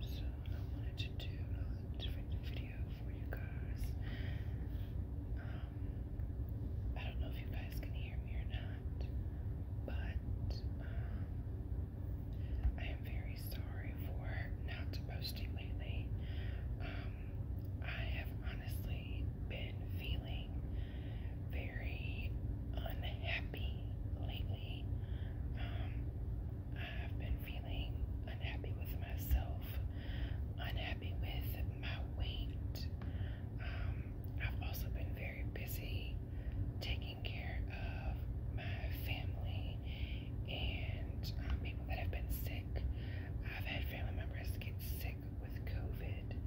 So I wanted to do a different video for you guys. I don't know if you guys can hear me or not, but I am very sorry for not posting lately. I have honestly been feeling very unhappy lately. Um, I've been feeling unhappy with myself, unhappy with my weight. Um, I've also been very busy taking care of my family and um, people that have been sick. I've had family members get sick with COVID,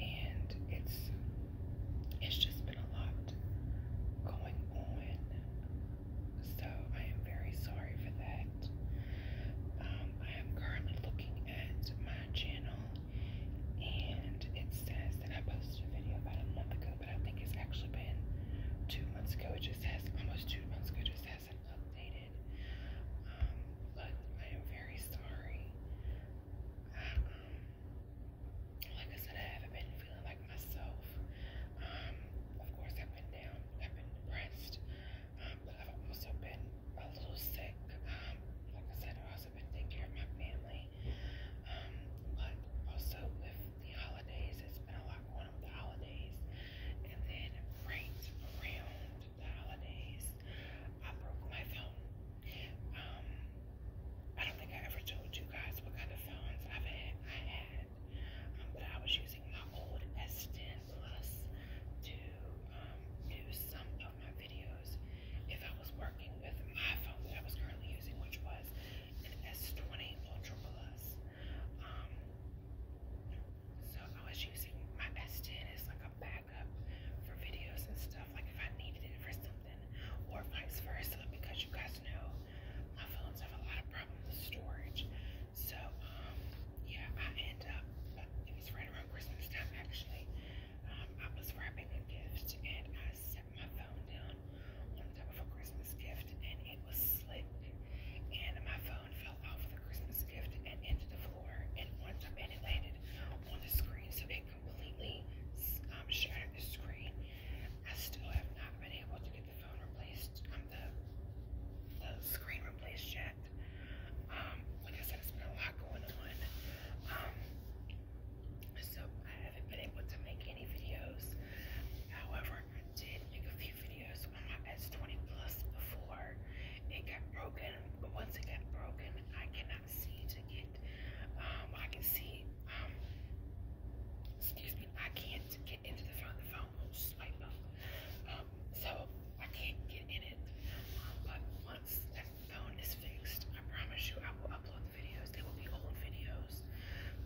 and it's it's just been a lot going on. So I am very sorry for that. Um, I am currently looking at my channel and it says that I posted a video about a month ago, but I think it's actually been two months ago. It just has almost two months ago, it just hasn't updated. Um, but I am very sorry. Um, like I said, I haven't been feeling like myself. Um, of course, I've been down, I've been depressed, um, but I've also been a little sick. Um, like I said, I've also been taking care of my family. Um, but also with the holidays, it's been a lot going on with the holidays. And then right around the holidays, I broke my phone. Um, I don't think I ever told you guys what kind of phones I've had. I had, um, but I was using my old S10 Plus to um, do some of my videos. If I was working with my phone that I was currently using, which was an S20 Ultra Plus, um, so I was using my S10 as like a backup for videos and stuff. Like if I needed it for something or vice versa because you guys know my phones have a lot of problems with storage. So, um, yeah, I ended up, it was right around Christmas time actually. Um, I was wrapping a gift and I set my phone down on top of a Christmas gift and it was slick. And my phone fell off the Christmas gift and into the floor and, once, I and it landed on the screen. So it it completely um, shattered the screen. I still have not been able to get the phone replaced, um, the, the screen replaced yet. Um, like I said, it's been a lot going on. Um, so I haven't been able to make any videos. However, I did make a few videos on my S20 Plus before it got broken. But once it got broken, I cannot see to get um, I can see. Um, excuse me. I can't get into the phone. The phone will swipe up. Um, so I can't get in it. but once that phone is fixed, I promise you, I will upload the videos. They will be old videos,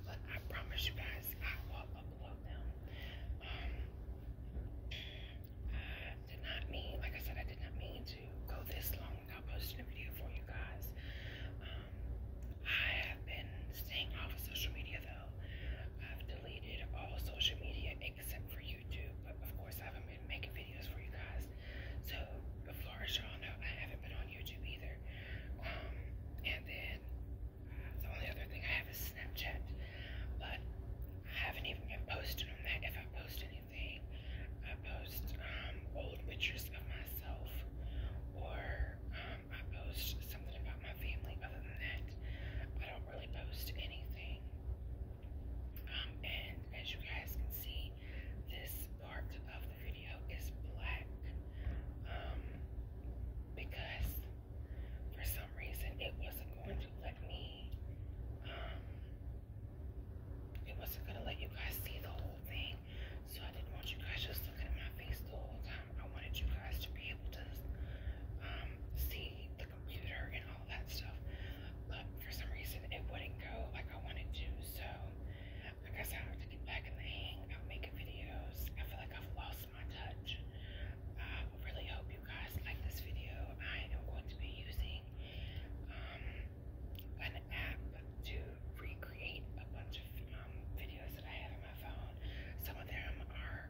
but I promise you guys, I will upload them. did not mean, like I said, I did not mean to go this long I posted a video for you guys. Um, I have been staying off of social media though. I've deleted all social media except for YouTube, but of course I haven't been making videos for you guys. So, as far as you I haven't been on YouTube either. Um, and then uh, the only other thing I have is Snapchat, but I haven't even been posting on that. If I post anything, I post um, old pictures of myself or I post something about my family. Other than that, I don't really post anything. Um, and as you guys can see, this part of the video is black. Um, because for some reason it wasn't going to let me, um, it wasn't going to let you guys see the whole thing. So I didn't want you guys just looking at my face the whole time. I wanted you guys to be able to um, see the computer and all that stuff. But for some reason, it wouldn't go like I wanted to. So I guess I have to get back in the hang of making videos. I feel like I've lost my touch. I really hope you guys like this video. I am going to be using um, app to recreate a bunch of um, videos that I have on my phone. Some of them are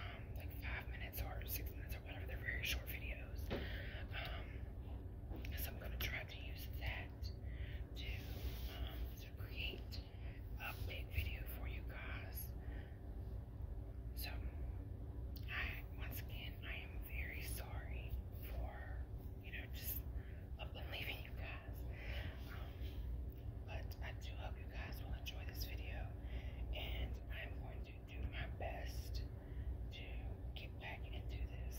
um, like five minutes or six minutes or whatever. They're very short videos. Um, so I'm gonna try to use that to create a big video for you guys. So I once again I am very sorry for you know just believing um, but I do hope you guys will enjoy this video, and I'm going to do my best to get back into this.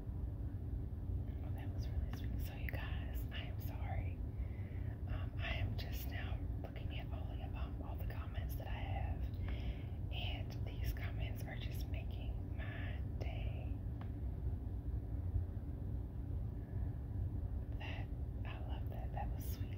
Oh, that was really sweet. So, you guys, I am sorry. Um, I am just now looking at all the, um, all the comments that I have, and these comments are just making my day. That I love that. That was sweet.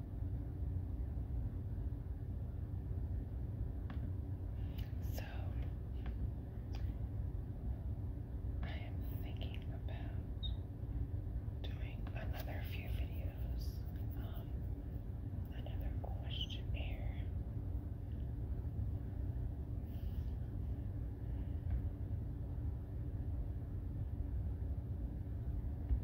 So I am thinking about doing another few videos, um, another questionnaire.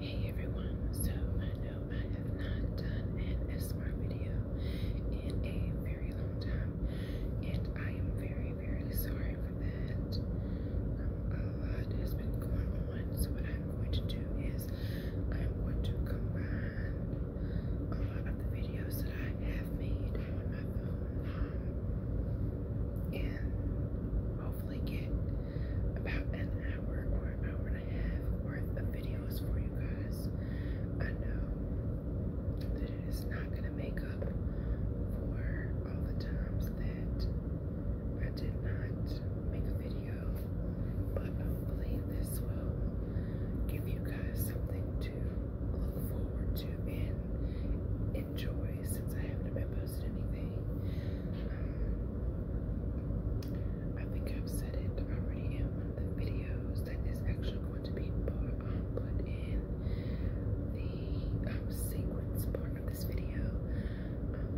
Hey everyone, so I know I have not done an ASMR video in a very long time, and I am very, very sorry for that. Um, a lot has been going on, so what I'm going to do is I'm going to combine a lot of the videos that I have made on my phone and hopefully get about an hour or an hour and a half worth of videos for you guys. I know that it is not going to make up for all the times that I did not make a video, but hopefully this will give you guys something to look forward to and enjoy since I haven't been posting anything. Um, I think I've said it already in one of the videos that is actually going to be put, um, in the um, sequence part of this video.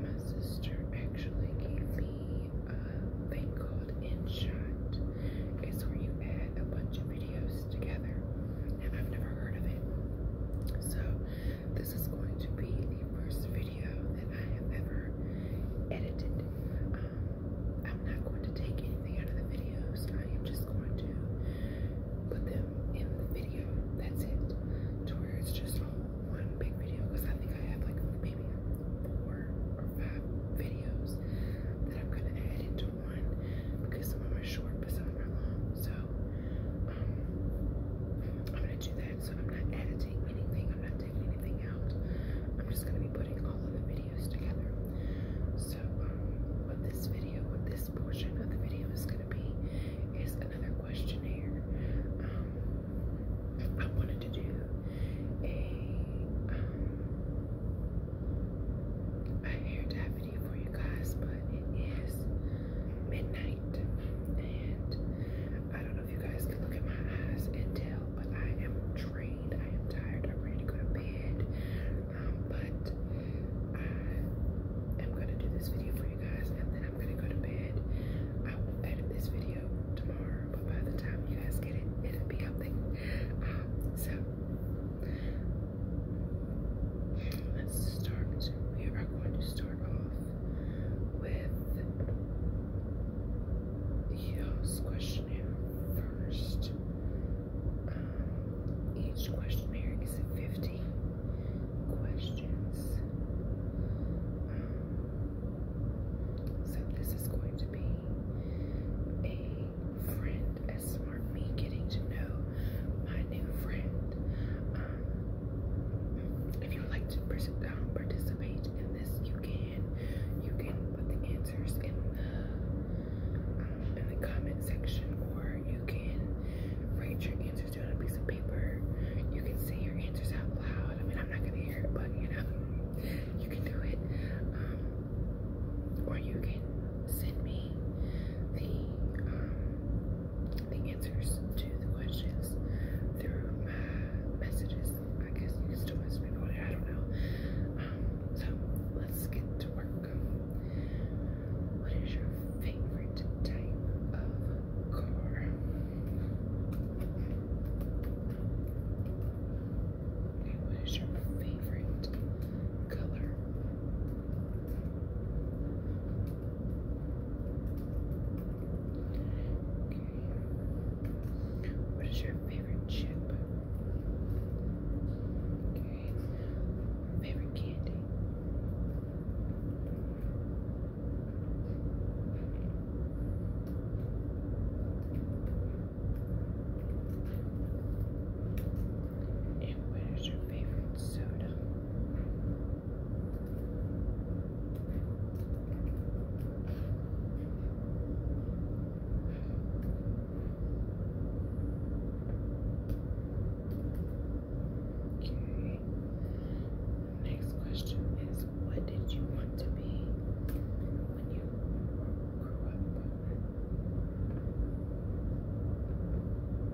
my sister actually gave me a thing called InShot. is where you add a bunch of videos together, and I've never heard of it. So this is going to be the first video that I have ever edited. Um, I'm not going to take anything out of the videos. I am just going to put them in the video. That's it. To where it's just all one big video. Because I think I have like maybe four or five videos that I'm going to add into one. Because some of them are short, but some of them are long. So um, I'm gonna do that. So I'm not editing anything. I'm not taking anything out. I'm just gonna be putting all of the videos together. So um, what this video, what this portion of the video is gonna be, is another questionnaire. Um, I wanted to do a um, a hair dye for you guys, but it is midnight, and I don't know if you guys can look at my eyes and tell, but I am drained. I am tired. I'm ready to go to bed, um, but I am gonna do this video for you guys, and then I'm gonna go to bed. I will edit this video tomorrow, but by the time you guys get it, it'll be up um, so let's start. We are going to start off with EOS first. Um, each questionnaire is 50 questions. Um, so this is going to be a friend as smart me getting to know my new friend. Um, if you like to uh, participate in this, you can. You can put the answers in the um, in the comment section, or you can write your answers down on a piece of paper. You can say your answers out loud. I mean, I'm not gonna hear it, but you know, you can do it. Um, or you can send me the um, the answers to the questions through messages. I guess you can still message me on it, I don't know. Um, so let's get to work. What is your favorite type of car? Okay, what is your favorite color? What is your favorite chip? Okay. Favorite candy? And what is your favorite soda? Okay. Next question is what did you want to be when you grew up?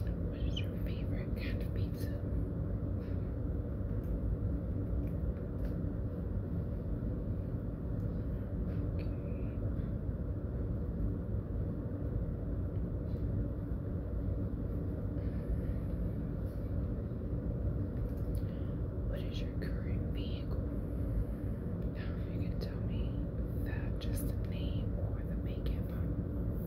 What is your favorite kind of pizza? What is your current vehicle? if you can tell me that just the name or the make and model.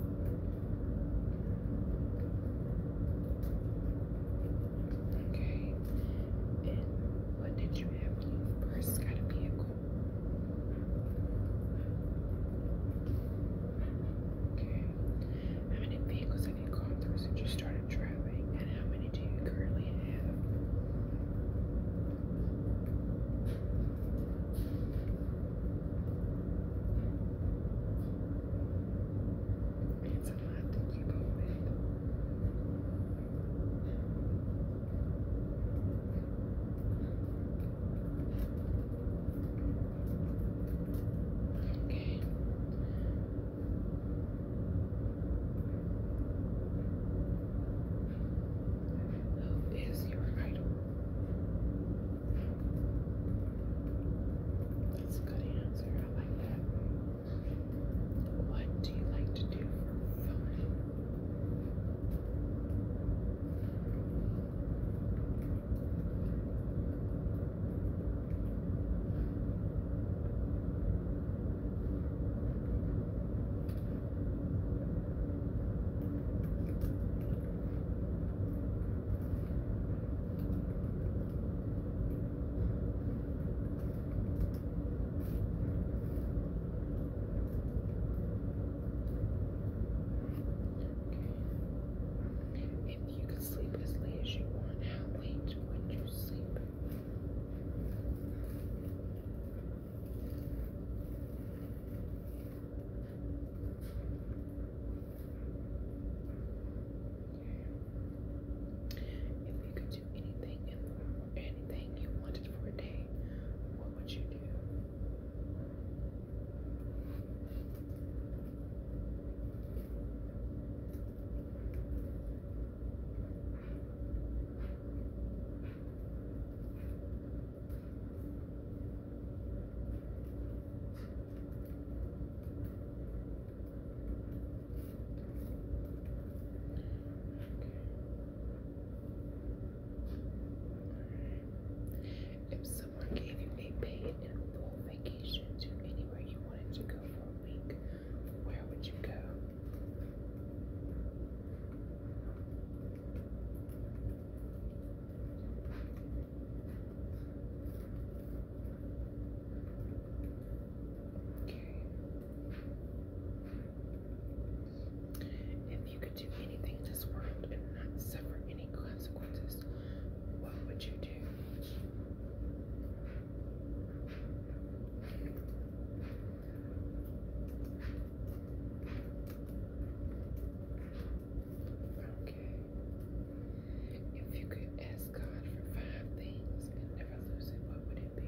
Okay. And what did you have when you first got a vehicle? Okay. How many vehicles have you gone through since you started driving, And how many do you currently have? It's a lot to Who is your idol? That's a good answer. I like that. What do you like to do for fun? If you could sleep as late as you want, how late would you sleep? If you could do anything in the world, anything you wanted for a day, what would you do? If someone gave you a paid and full vacation to anywhere you wanted to go for a week, where would you go? If you could do anything in this world and not suffer any consequences, what would you do? Okay. If you could ask God for five things and never lose it, what would it be?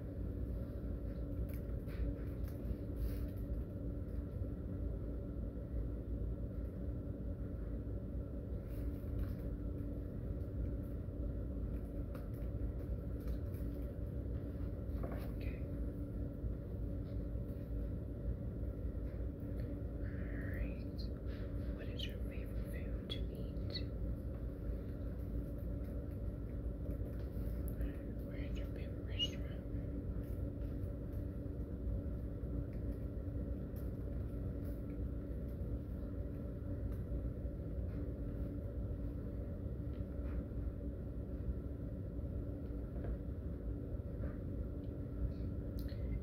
Okay. Alright. What is your favorite food to eat? We're in your favorite restaurant.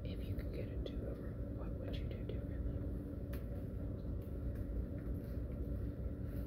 If you could get a do over, what would you do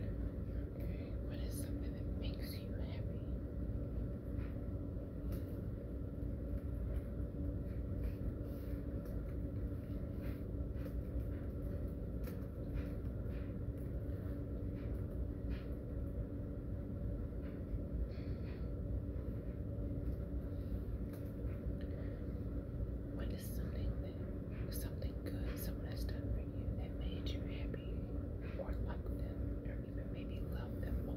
Okay, what is something that makes you happy? What is something that something good someone has done for you that made you happy or like them or even maybe love them more?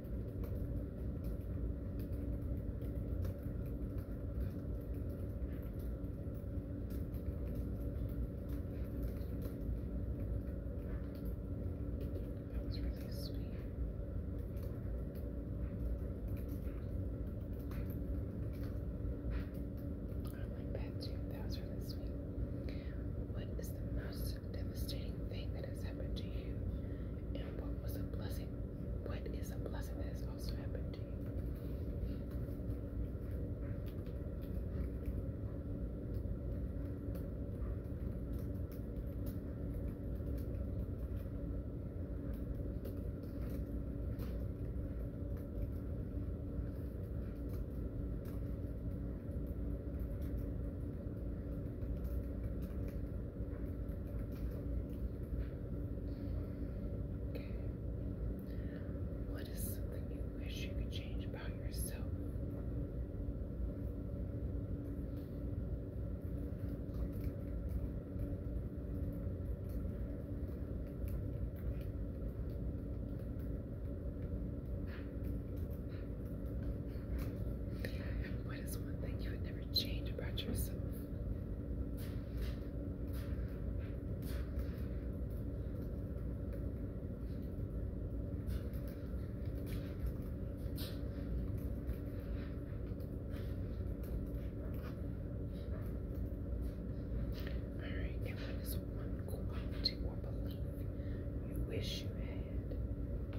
That was really sweet. I like that too. That was really sweet. What is the most devastating thing that has happened to you, and what was a blessing? What is a blessing that has also happened to you? Okay. What is something you wish you could change about yourself? What is one thing you would never change about yourself? All right, and what is one quality you wish you had?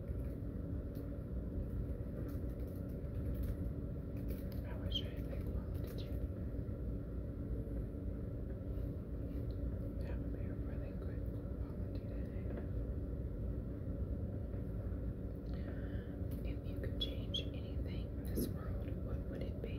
I wish I had big quantity. That would be a really good quality to have. If you could change anything in this world, what would it be?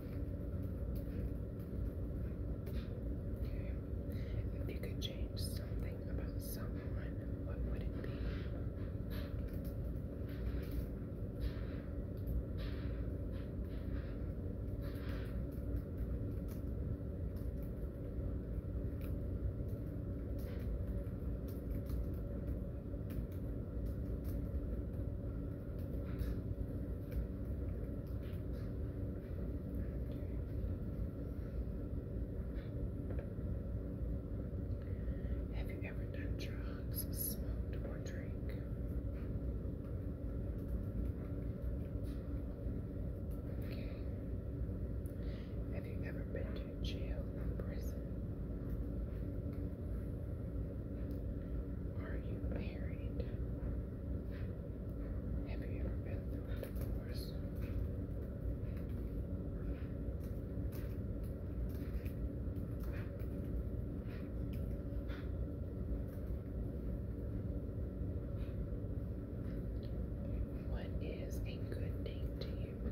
Okay. If you could change something about someone, what would it be? Have you ever done drugs, smoked, or drank? Okay. Have you ever been to jail or prison? Are you married? Have you ever been through a divorce? What is a good date to you?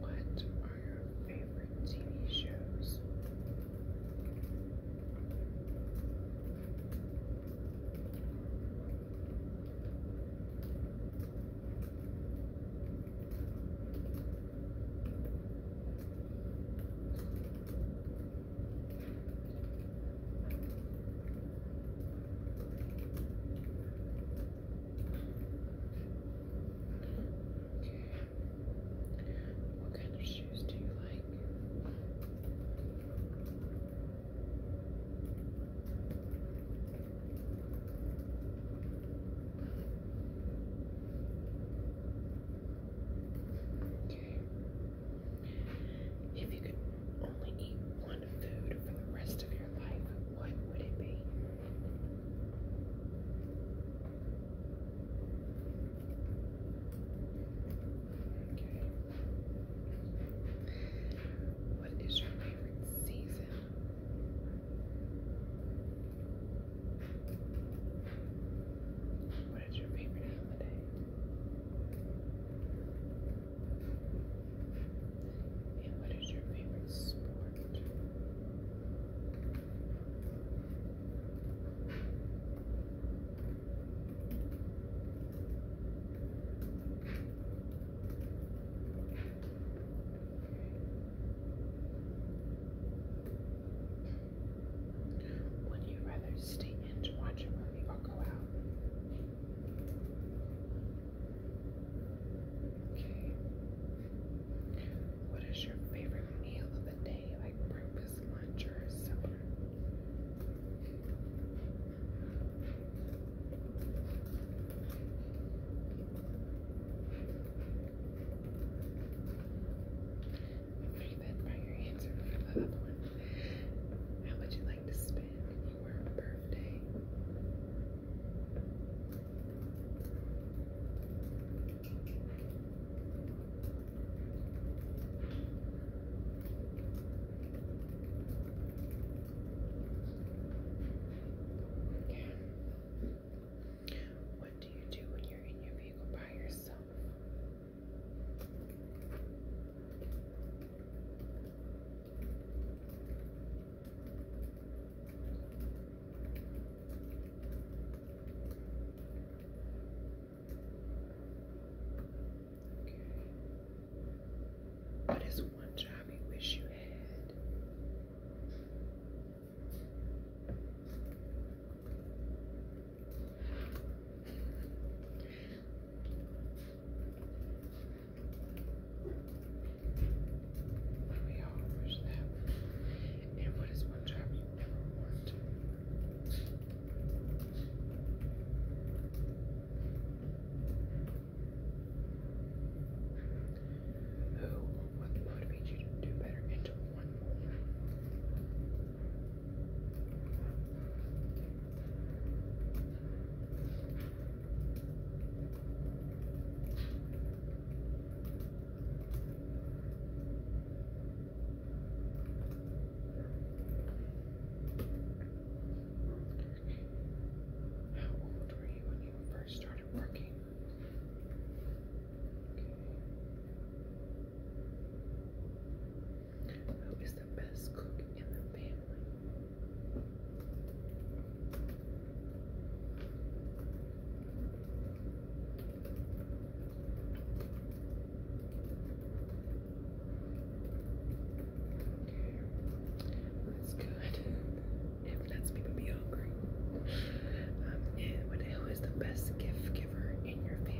What are your favorite TV shows? What kind of shoes do you like? Okay. If you could only eat one food for the rest of your life, what would it be? What is your favorite season? What is your favorite holiday? And what is your favorite sport? Would you rather stay in to watch a movie or go out? Okay. What is your favorite meal of the day? Like breakfast, lunch, or supper? How would you like to spend your birthday? What do you do when you're in your vehicle by yourself? What is one job you wish you had? Let me all push And what is one job you never want to? Who would you do better and to how old were you when you first started working? Okay. Who is the best cook in the family? That's good. It lets people be hungry. Um, and what the hell is the best gift caregiver in your family.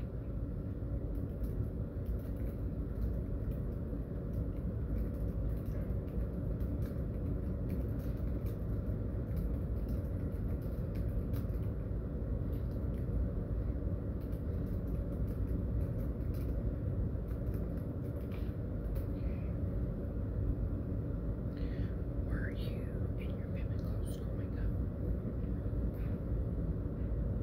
you and your family close up?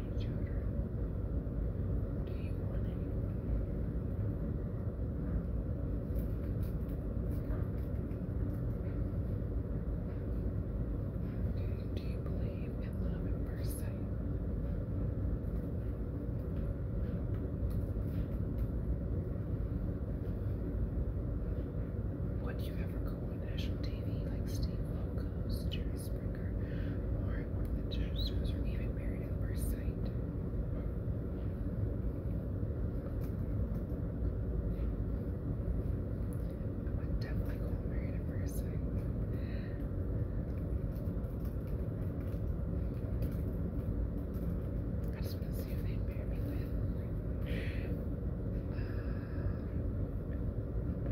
your children? Do you believe in love at first sight? Would you ever go national TV like Steve Wilkos, Springer or the jazz shows even married at first sight. I definitely married at first sight. I just want to see who they pair me with. Uh,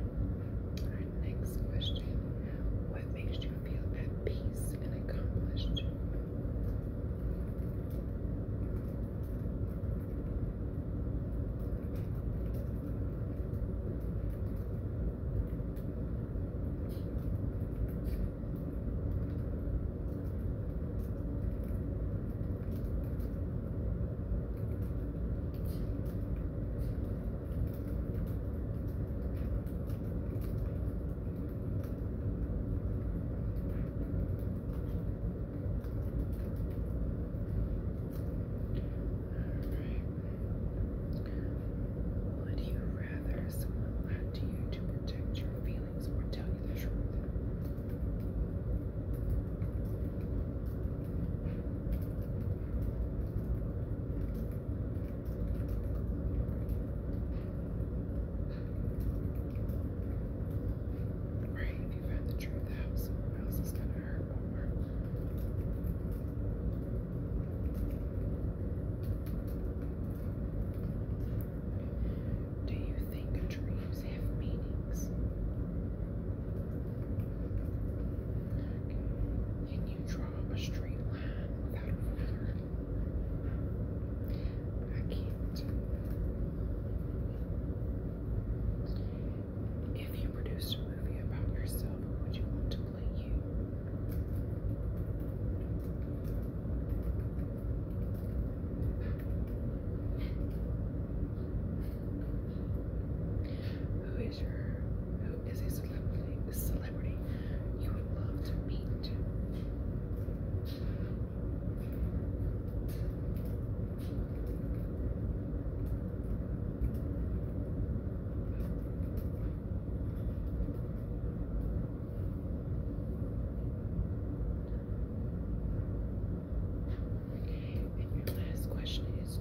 Alright, next question. What makes you feel at peace and accomplished? Alright. Would you rather someone lie to you to protect your feelings or tell you the truth? Right, if you find the truth out, someone else is gonna hurt more. Do you think dreams have meanings? Can you draw a straight line without a ruler? I can't. If you produced a movie about yourself, would you want to play you? Who is your who is a celebrity celebrity you would love to meet? And your last question is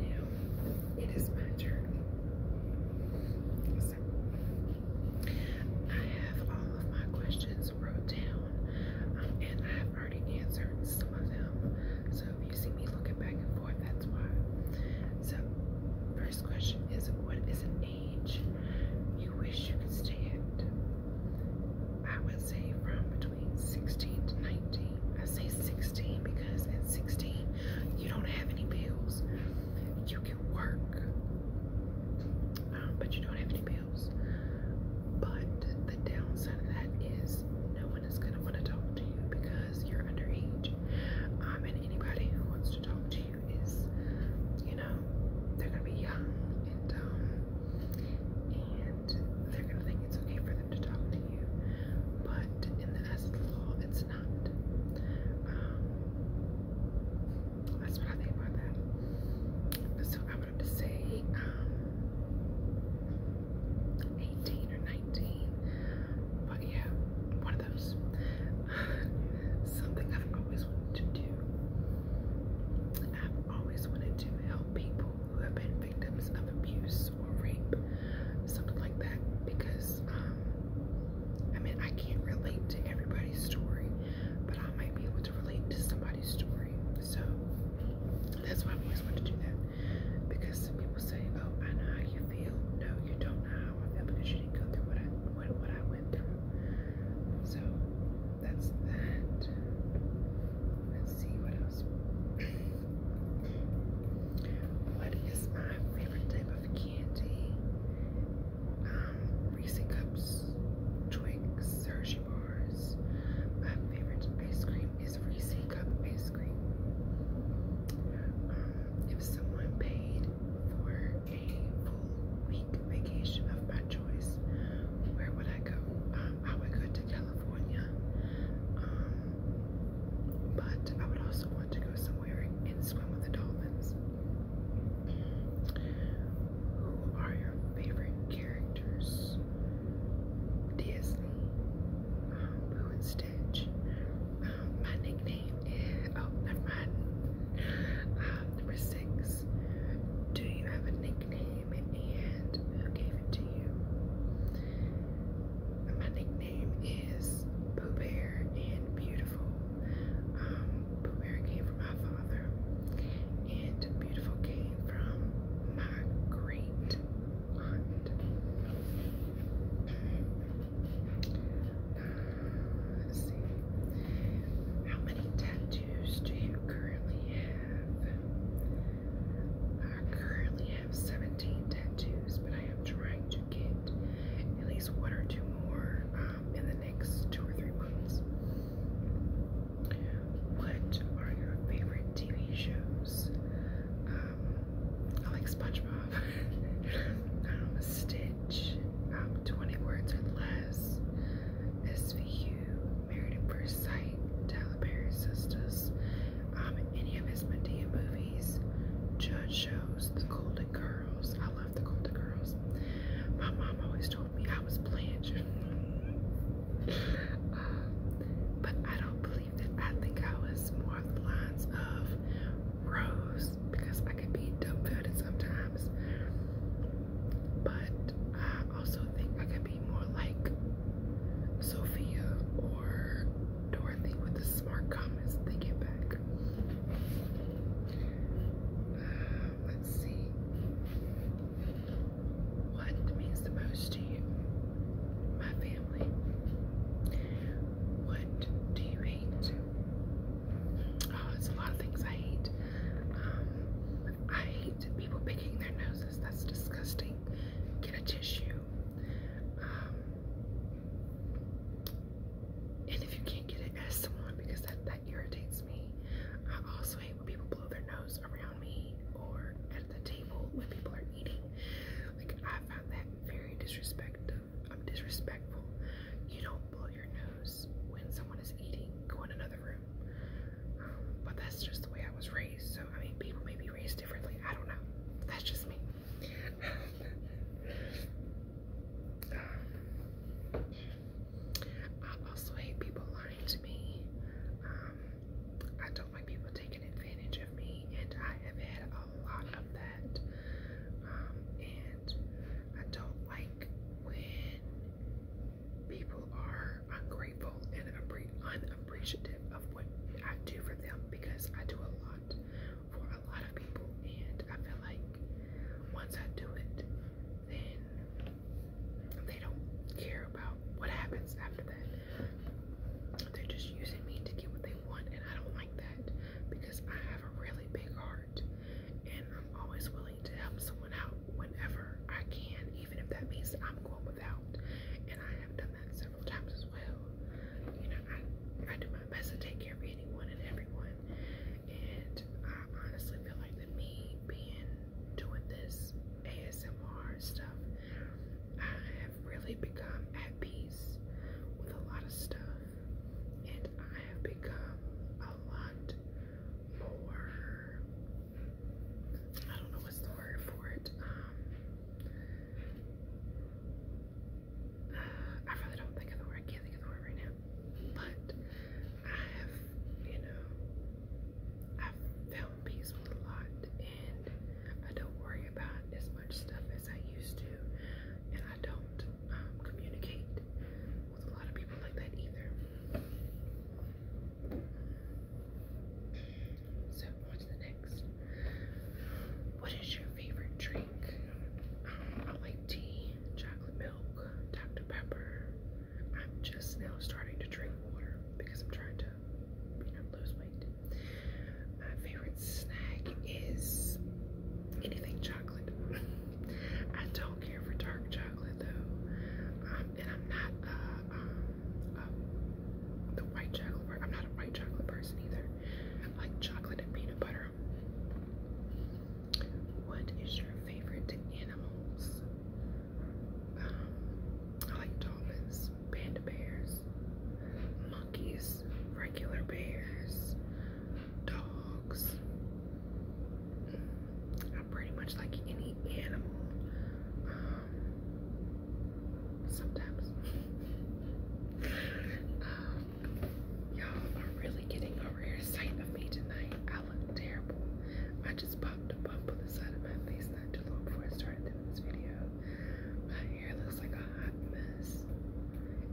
Now, it is my journey. So, I have all of my questions wrote down, um, and I have already answered some of them. So, if you see me looking back and forth, that's why. So, first question is What is an age you wish you could stay at? I would say from between 16 to 19. I say 16 because at 16 you don't have any bills. You can work, um, but you don't have any bills. But the downside of that is no one is going to want to talk to you because you're underage. Um, and anybody who wants to talk to you is, you know, they're going to be young and dumb. And they're going to think it's okay for them to talk to you. But in the eyes of the law, it's um, that's what I think about that. So I would to say um, 18 or 19. But yeah, one of those. Something I've always wanted to do. I've always wanted to help people who have been victims of abuse or rape, something like that, because um, I mean, I can't relate to everybody's story, but I might be able to relate to somebody's story. So that's why I always want to do that, because some people say, "Oh, I know how you feel." No, you don't know how I feel because you didn't go through what I what I went through. So that's that. Let's see what else. What is my favorite type of candy? Um, Reese cups, Twix, Hershey bars. My favorite ice cream is Reese cup ice cream. Um, if someone paid for a full week vacation of my choice, where would I go? Um, I would go to California. Um, but I would also want to go somewhere and swim with the dolphins. Who are your favorite characters? Disney, um, Stitch. my nickname is, oh, never mind. Um, number six, do you have a nickname and who gave it to you? My nickname name is Pooh and Beautiful. Um, came from my father, and Beautiful came from my great aunt. Uh, How many tattoos do you currently have? I currently have 17 tattoos, but I am trying to get at least one or two more um, in the next two or three months. What are your favorite TV shows? Um, I like SpongeBob, um, Stitch, 20 Words or Less, SVU, Married at First Sight, Tyler Perry Sisters, any of his Medea movies. Judge shows, The Golden Girls. I love The Golden Girls. My mom always told me I was Blanche. Uh, but I don't believe that. I think I was more of the lines of Rose because I could be dumbfounded sometimes. But I also think I could be more like Sophia or Dorothy with the smart comments they get back let's see. What means the most to you? My family. What do you hate? Oh, it's a lot of things I hate. Um, I hate people picking their noses. That's disgusting. Get a tissue. Um, and if you can't get it, ask someone because that, that irritates me. I also hate when people blow their nose around me or at the table when people are eating. Like, I find that very disrespectful. I'm um, disrespectful. You don't blow your nose when someone is eating. Go in another room. Um, but that's just the way I was raised. So, I mean, people may be raised differently. I don't know. That's just me. I also hate people lying to me. Um, I don't like people taking advantage of me, and I have had a lot of that. Um, and I don't like when people are ungrateful and unappreciative of what I do for them because I do a lot for a lot of people, and I feel like once I do it, then they don't care about what happens after that. They're just using me to get what they want, and I don't like that because I have a really big heart, and I'm always willing to help someone out whenever I can, even if that means I'm going without. And I have done that several times as well you know, I, I do my best to take care of anyone and everyone. And I honestly feel like that me being doing this ASMR stuff, I have really become at peace with a lot of stuff. And I have become a lot more, I don't know what's the word for it, um, I really don't think of the word. I can't think of the word right now. But I have, you know, I've found peace with a lot, and I don't worry about as much stuff as I used to, and I don't um, communicate with a lot of people like that either. So, on to the next. What is your favorite tree? I like tea, chocolate milk, Dr. Pepper. I'm just now starting to drink water because I'm trying to you know, lose weight. My favorite snack is anything chocolate. I don't care for dark chocolate though. Um, and I'm not uh, um, um, the white chocolate, I'm not a white chocolate person either. I like chocolate and peanut butter what is your favorite animals? Um, I like dolphins, panda bears, monkeys, regular bears, dogs. Mm, I pretty much like any animal. Um, sometimes. Um, Y'all are really getting a rare sight of me tonight. I look terrible. I just popped a bump on the side of my face not too long before I started doing this video. My hair looks like a hot mess.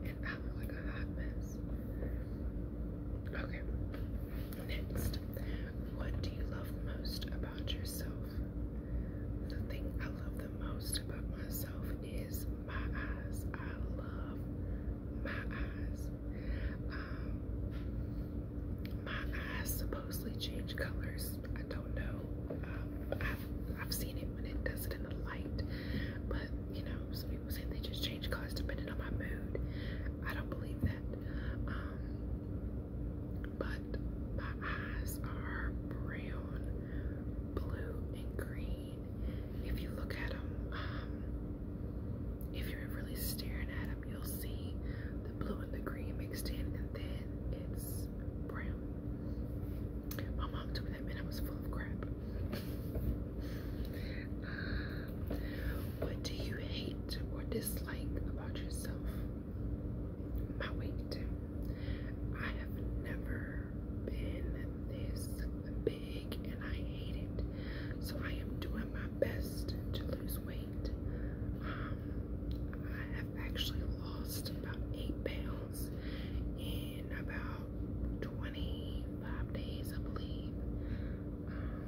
And I look like a hot mess. Okay, next. What do you love most about yourself? The thing I love the most about myself is my eyes. I love my eyes. Um, my eyes supposedly change colors. I don't know. Um, I've, I've seen it when it does it in the light, but you know, some people say they just change colors depending on my mood. I don't believe that. Um, but my eyes are brown, blue, and green. If you look at them, um, if you're really staring at them, you'll see the blue and the green mixed in, and then it's brown. My mom took them, and I was full of crap. what do you hate or dislike about yourself? My weight. I have never been this big and I hate it. So I am um, doing my best to lose weight. I have actually lost about eight pounds in um, about 25 days, I believe. Um,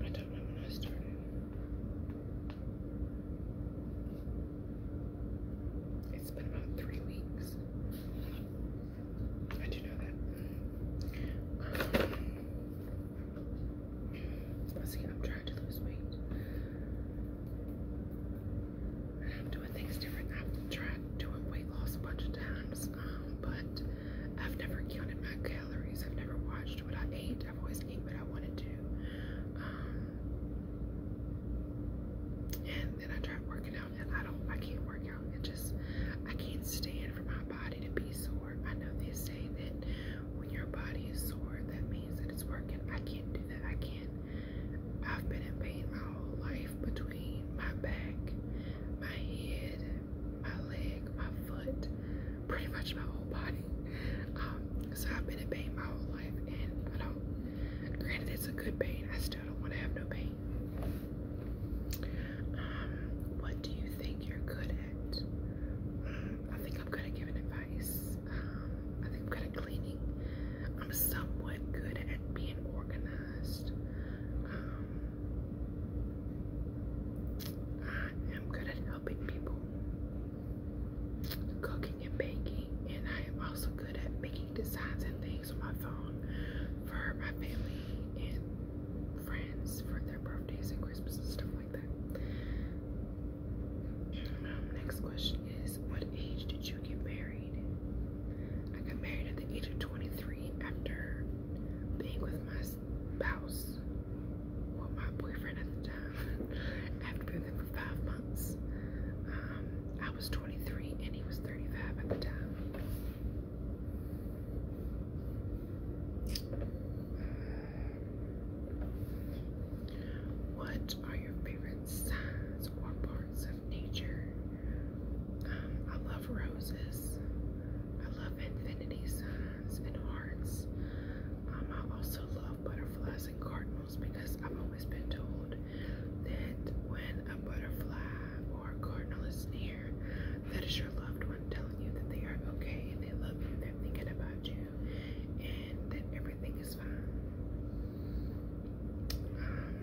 I don't know when I started. It's been about three weeks. I do know that. Um, let's see, I'm trying to lose weight. I'm doing things different. I've tried doing weight loss a bunch of times, um, but I've never counted my calories. I've never watched what I ate. I've always ate what I wanted to. Um, and then I tried working out, and I don't. I can't work out. It just I can't stand for my body to be sore. I know they say that when your body is sore, that means that it's working. I can't do that. I can't. I've been in pain my whole life between my back, my head, my leg, my foot, pretty much my whole body. Um, so I've been in pain my whole life, and I don't, granted, it's a good pain, I still don't want to have no pain. Um, what do you think you're good at? Mm, I think I'm good at giving advice. Um, I think I'm good at cleaning. I'm somewhat good at being organized. Um, I am good at helping people, cooking and baking, and I am also good at making designs and things on my phone for my family and friends for their birthdays and Christmas and stuff like that. Um, next question is, what age did you get married? I got married at the age of 23 after being with my spouse, well, my boyfriend at the time, after being there for five months. Um, I was 23 and he was 35 at the time. What are your favorite signs or parts of nature? Um, I love I love roses. I love infinity signs and hearts. Um, I also love butterflies and cardinals because I've always been told that when a butterfly or cardinal is near, that is your loved one telling you that they are okay and they love you, they're thinking about you, and that everything is fine. Um,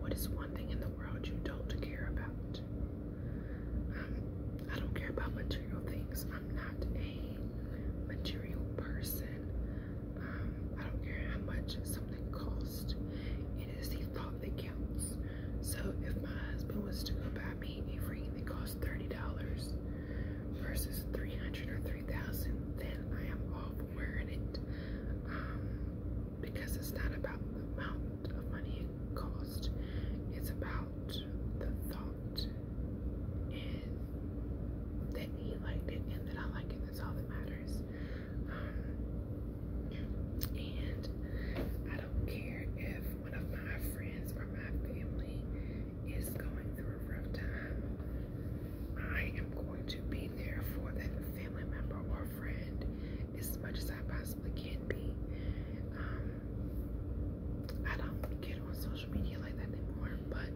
what is one thing in the world you don't care about? I don't care about material things. I'm not a material person. Um, I don't care how much something costs. It is the thought that counts. So if my husband was to go buy me a ring that costs $30 versus 300 or 3000 then I am all for wearing it. Um, because it's not about the amount of money it cost, it's about the thought and that he liked it and that I like it. That's all that matters. Um, and I don't care if one of my friends or my family is going through a rough time. I am going to be there for that family member or friend as much as I possibly can be. Um, I don't get on social media like that anymore, but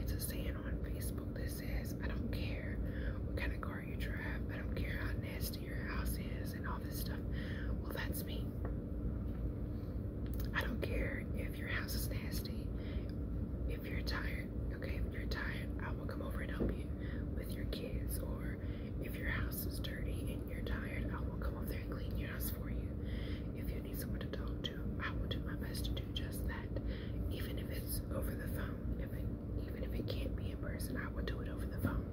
it's a saying on Facebook that says, I don't care what kind of car you drive, I don't care how nasty your house is, and all this stuff. Well, that's me. I don't care if your house is nasty, if you're tired, okay, if you're tired, I will come over and help you with your kids or if your house is dirty and you're tired, I will come over there and clean your house for you. If you need someone to talk to, I will do my best to do just that. Even if it's over the phone, if even if it can't be in person, I will do it over the phone.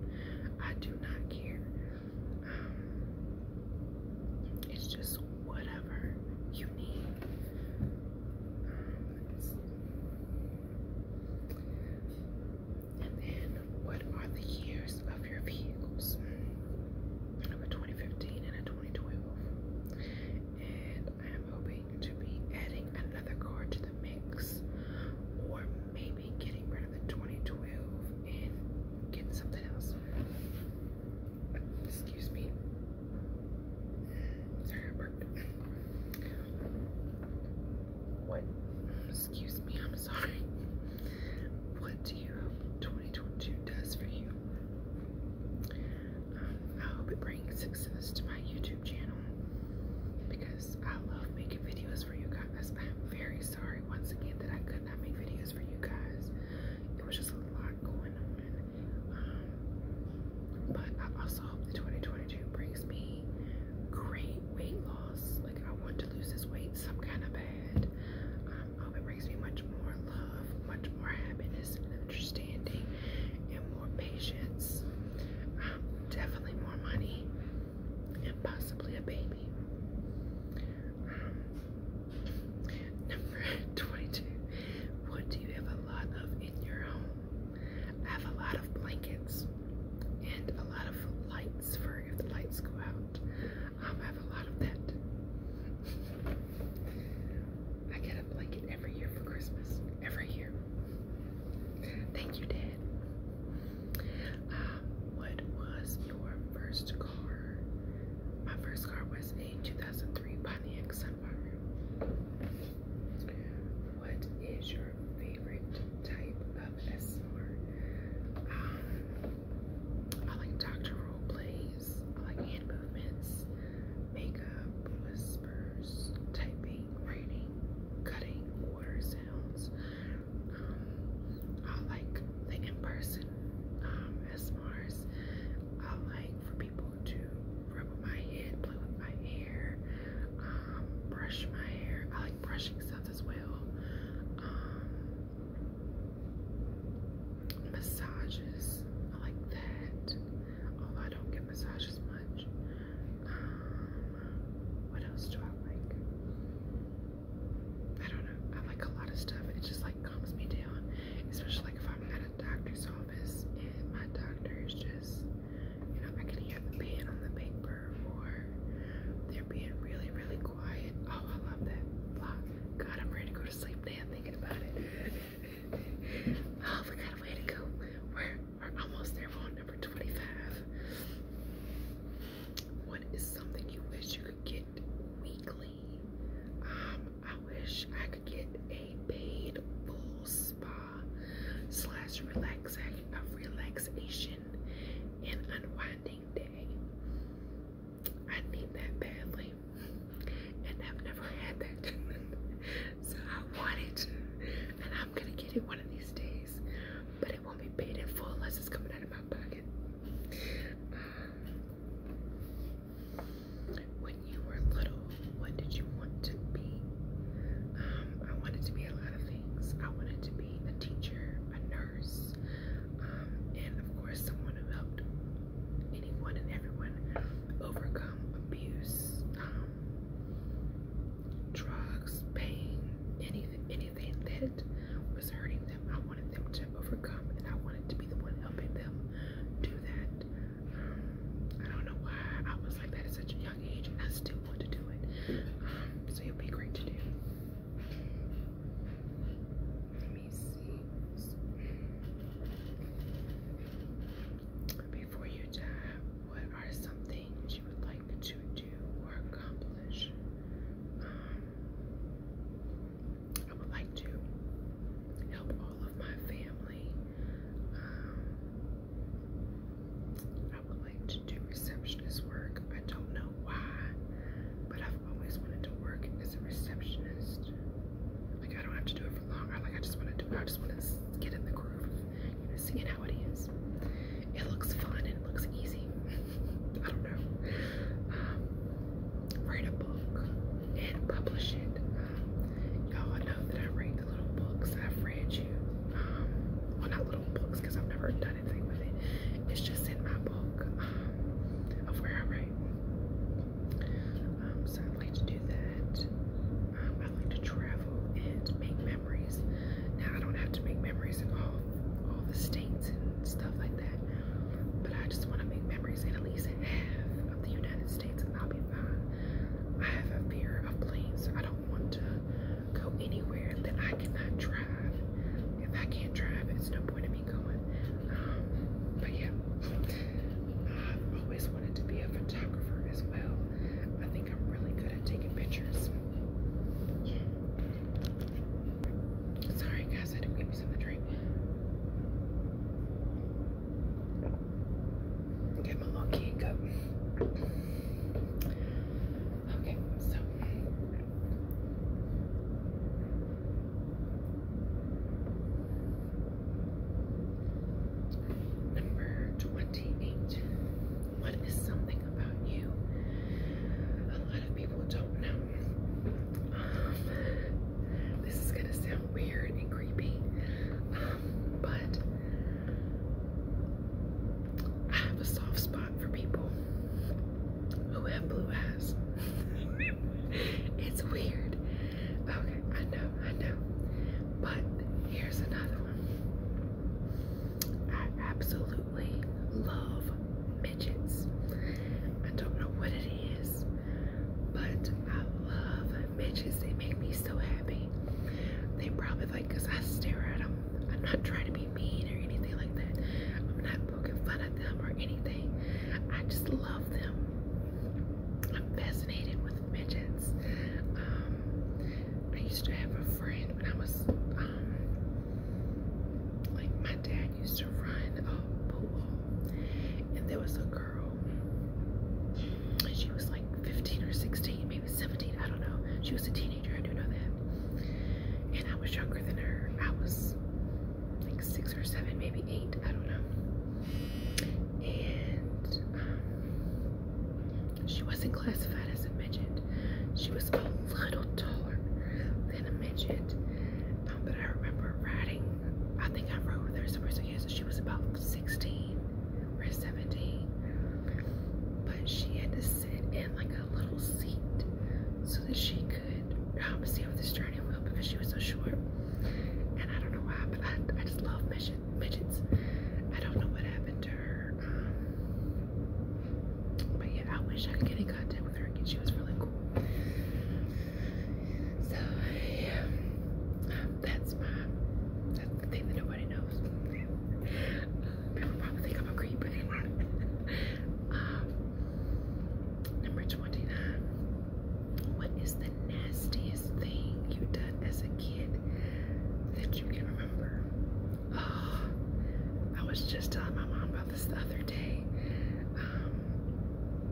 I do not care. Um, it's just whatever you need. Um, and then, what are the years of your vehicles? I 2015 and a 2012. And I am hoping to be adding another car to the mix, or maybe getting rid of the 2012 and getting something else. Excuse me. Sorry, I burped. What? Excuse me, I'm sorry. What do you hope 2022 does for you? Um, I hope it brings success to my YouTube channel because I love making videos for you guys. I'm very sorry once again that I could not make videos for you guys. It was just a lot going on. Um, but I also hope that 2022 brings me great weight loss. Like I want to lose this weight some kind of bad. Um, I hope it brings me much more love, much more happiness and understanding and more patience. Um, definitely more money and possibly a baby. Um, number 22. What do you have a lot of in your home? I have a lot of blankets and a lot of light if the lights go out. Um, I have a lot of that. I get a blanket every year for Christmas. Every year. Thank you, Dad. Um, what was your first car? My first car was a 2003 Pontiac Sunfire. What is your favorite type of SMR. Um, I like doctor role plays, I like hand movements, makeup, whispers, typing, writing, cutting, water sounds. Um, I like the in-person um, I like for people to rub my head, play with my hair, um, brush my hair. I like brushing stuff as well. Um, massages, I like that. Oh, I don't get massages much. Um, what else do I like? I don't know. I like a lot of stuff. It just like calms me down, especially like if I'm at a doctor's office and my doctor is just, you know, I can hear the pen on the paper or they're being really, really quiet. Oh, I love that. God, I'm ready to go to sleep now thinking about it. oh, we got a way to go. We're, almost there. on number 25. What is something you wish you could get weekly? Um, I wish I could get a paid full spa slash relaxation, a relaxation relaxation and unwinding day. I need that badly, and I've never had that. so I want it, and I'm gonna get it one of these days, but it won't be paid in full unless it's coming out of my pocket. when you were little, what did you want to be? Um, I wanted to be a things. I wanted to be a teacher, a nurse, um, and of course someone who helped anyone and everyone overcome abuse, um, drugs, pain, anything, anything that was hurting them. I wanted them to overcome, and I wanted to be the one helping them do that. Um, I don't know why I was like that at such a young age, and I still want to do it. so it'll be great to do. Let me see. Before you die, what are some things you would like to do or accomplish? Um, I would like to help all of my family. Um, I would like to do receptionist work. I don't know why, but I've always wanted to work as a receptionist. Like I don't have to do it for long. I like I just want to do it. I just want to get in the groove of you know, seeing how it is. It looks fun and it looks easy. I don't know. Um, write a book and publish it. Um, you that I read the little books. I've read you. Um, well, not little because I've never done anything with it. It's just in my book um, of where I write. Um, so I'd like to do that. Um, I like to travel and make memories. Now I don't have to make memories in all all the states and stuff like that, but I just want to make memories in at least half of the United States, and I'll be fine. I have a fear of planes, so I don't want to go anywhere that I cannot drive. If I can't drive, it's no point in me going. Um, but yeah, i always wanted to be a photographer as well. I think I'm really good at taking pictures. Sorry guys, I didn't give me some drink. Get my little kid cup. Okay, so number 28. What is something about you a lot of people don't know? Um, this is gonna sound weird and creepy, um, but I have a soft spot for people. Oh, who have blue eyes. it's weird. Okay, I know, I know. But here's another one. I absolutely love midgets. I don't know what it is, but I love midgets. They make me so happy. They probably like because I stare at them I'm not trying to be mean or anything like that. I'm not poking fun at them or anything. I just love them. I'm fascinated with midgets. Um, I used to have a friend when I was, um, like my dad used to run a pool and there was a girl and she was like 15 or 16, maybe 17, I don't know. She was a teenager I do know that. And I was younger than her. I was like six or seven, maybe eight, I don't know. And um, she wasn't classified as a midget. She was a little taller than a midget. Um, but I remember riding, I think I rode with her somewhere, so yeah, so she was about 16 or 17. But she had this sit in like a little seat so that she could see over the steering wheel because she was so short. And I don't know why, but I, I just love midgets. I don't know what happened to her. Um, but yeah, I wish I could get in contact with her again. She was really cool. So yeah, that's my that's the thing that nobody knows people probably i a creep, um, number 29. What is the nastiest thing you done as a kid that you can remember? Oh, I was just telling my mom about this the other day. Um,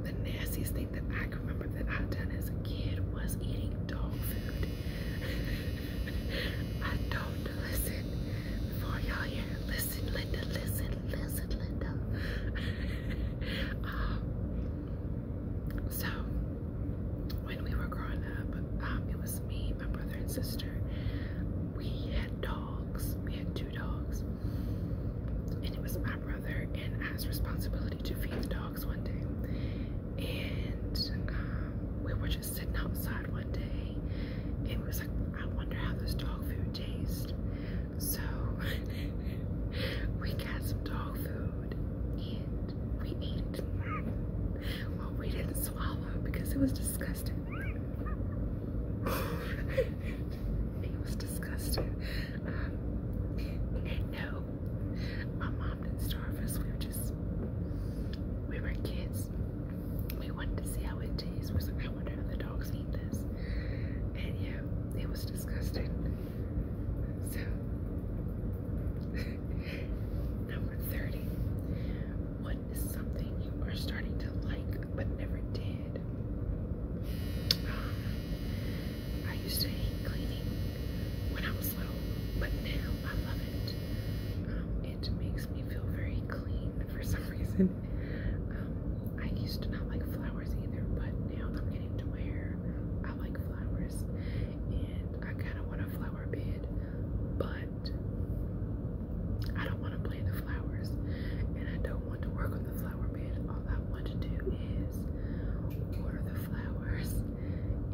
the nastiest thing that I can remember that I done as a kid was eating dog food. I don't listen before y'all hear listen, Linda, listen, listen, Linda. um, so, when we were growing up, um, it was me, my brother, and sister. We had dogs. We had two dogs. And it was my brother and I's responsibility to feed the dogs one day. And um, we were just sitting outside one day it was like, I wonder how this dog food tastes. So we got some dog food and we ate it. Well, we didn't swallow because it was disgusting. it was disgusting. and um, no, my mom didn't starve us. We were just, we were kids. We wanted to see how it tastes. We was like, I wonder if the dogs eat this. And yeah, it was disgusting. So, number 30. What is something you are starting to like but never did? I used to hate cleaning when I was little, but now I love it. Um, it makes me feel very clean for some reason. Um, I used to not like flowers either, but now I'm getting to where I like flowers and I kind of want a flower bed, but I don't want to plant the flowers and I don't want to work on the flower bed. All I want to do is order the flowers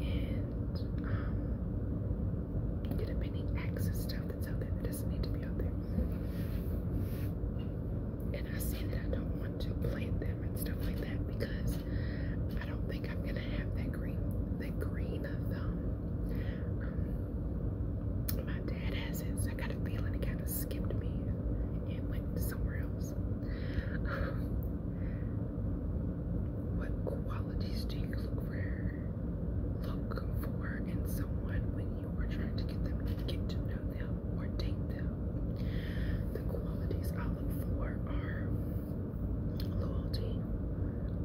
and um, get a mini access stuff that's out there that doesn't need to be out there. And I said that I don't want to plant them and stuff like that because I don't think I'm gonna have that green, that green thumb. Um, my dad has I got a feeling it kind of skipped me and went somewhere else. Um, what qualities do you look for look for in someone when you are trying to get them to get to know them or date them. The qualities I look for are loyalty,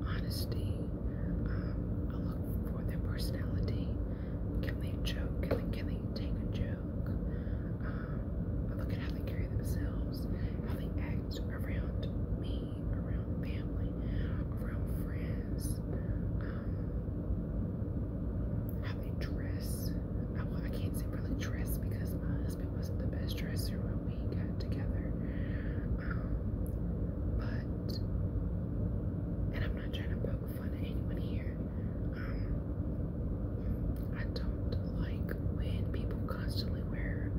honesty, um, I look for their personality. Can they joke? Can they, can they take a joke? Um, I look at how they carry themselves, how they act around me, around family, around friends. Um, how they dress. I, can't say really dress because my husband wasn't the best dresser when we got together. but, and I'm not trying to poke fun at anyone here. Um, I don't like when people constantly wear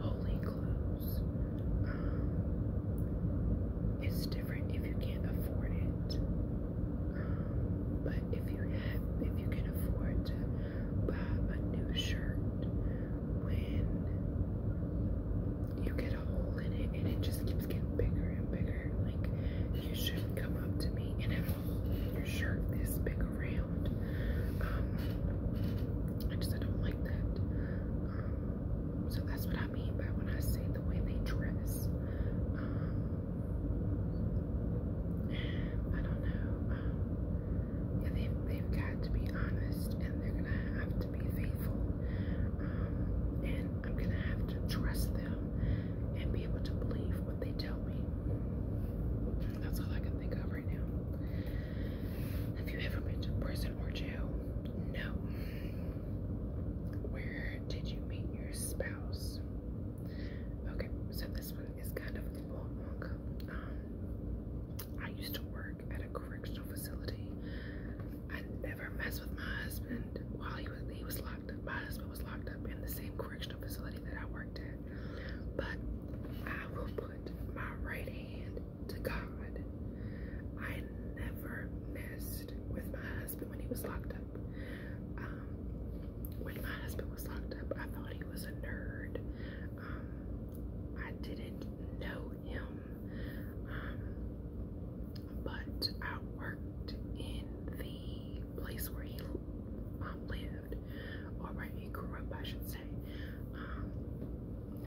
holy clothes. Um, it's different if you can't afford it. Um, but if you have, if you can afford to buy a new shirt when you get a hole in it and it just keeps getting bigger and bigger, like you shouldn't come up to me and have your shirt this big around. Um, I just don't like that. Um, so that's what I mean by when I say the way they dress. Um, I don't know. Um, they've, got to be honest and they're going to have to be faithful. Um, and I'm going to have to trust them and be able to believe what they tell me. That's all I can think of right now. Have you ever been to prison or jail? No. Where did you meet your spouse? Okay, so this one is kind of a long. one. Um, I used to work at a correctional facility. I never messed with my husband while he was he was locked up. My husband was locked up in the same correctional facility that I worked at. But I will put my right hand to God. I I never messed with my husband when he was locked up. Um, when my husband was locked up, I thought he was a nerd. Um, I didn't know him, um, but I worked in the place where he lived, or where he grew up, I should say.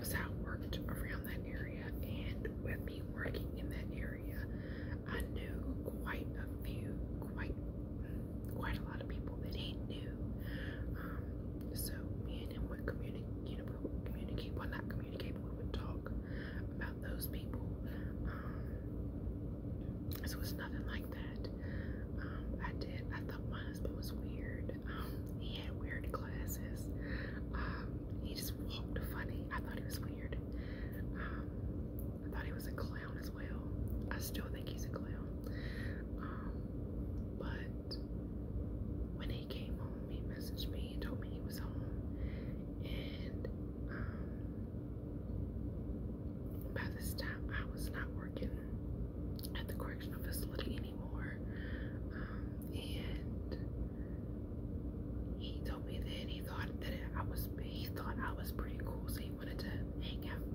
so I worked around that area and with me working in that area, I knew quite a few, quite quite a lot of people that he knew. Um, so me and him would communicate, you know, we would communicate, well not communicate, but we would talk about those people. Um, was nothing like that. Um, I did, I thought my husband was weird. Um, he had weird glasses he just walked funny. I thought he was weird. Um, I thought he was a clown as well. I still think he's a clown. Um, but when he came home, he messaged me and told me he was home. And um, by this time, I was not working at the correctional facility anymore. and he told me that he thought that I was he thought I was pretty cool, so he wanted to hang out.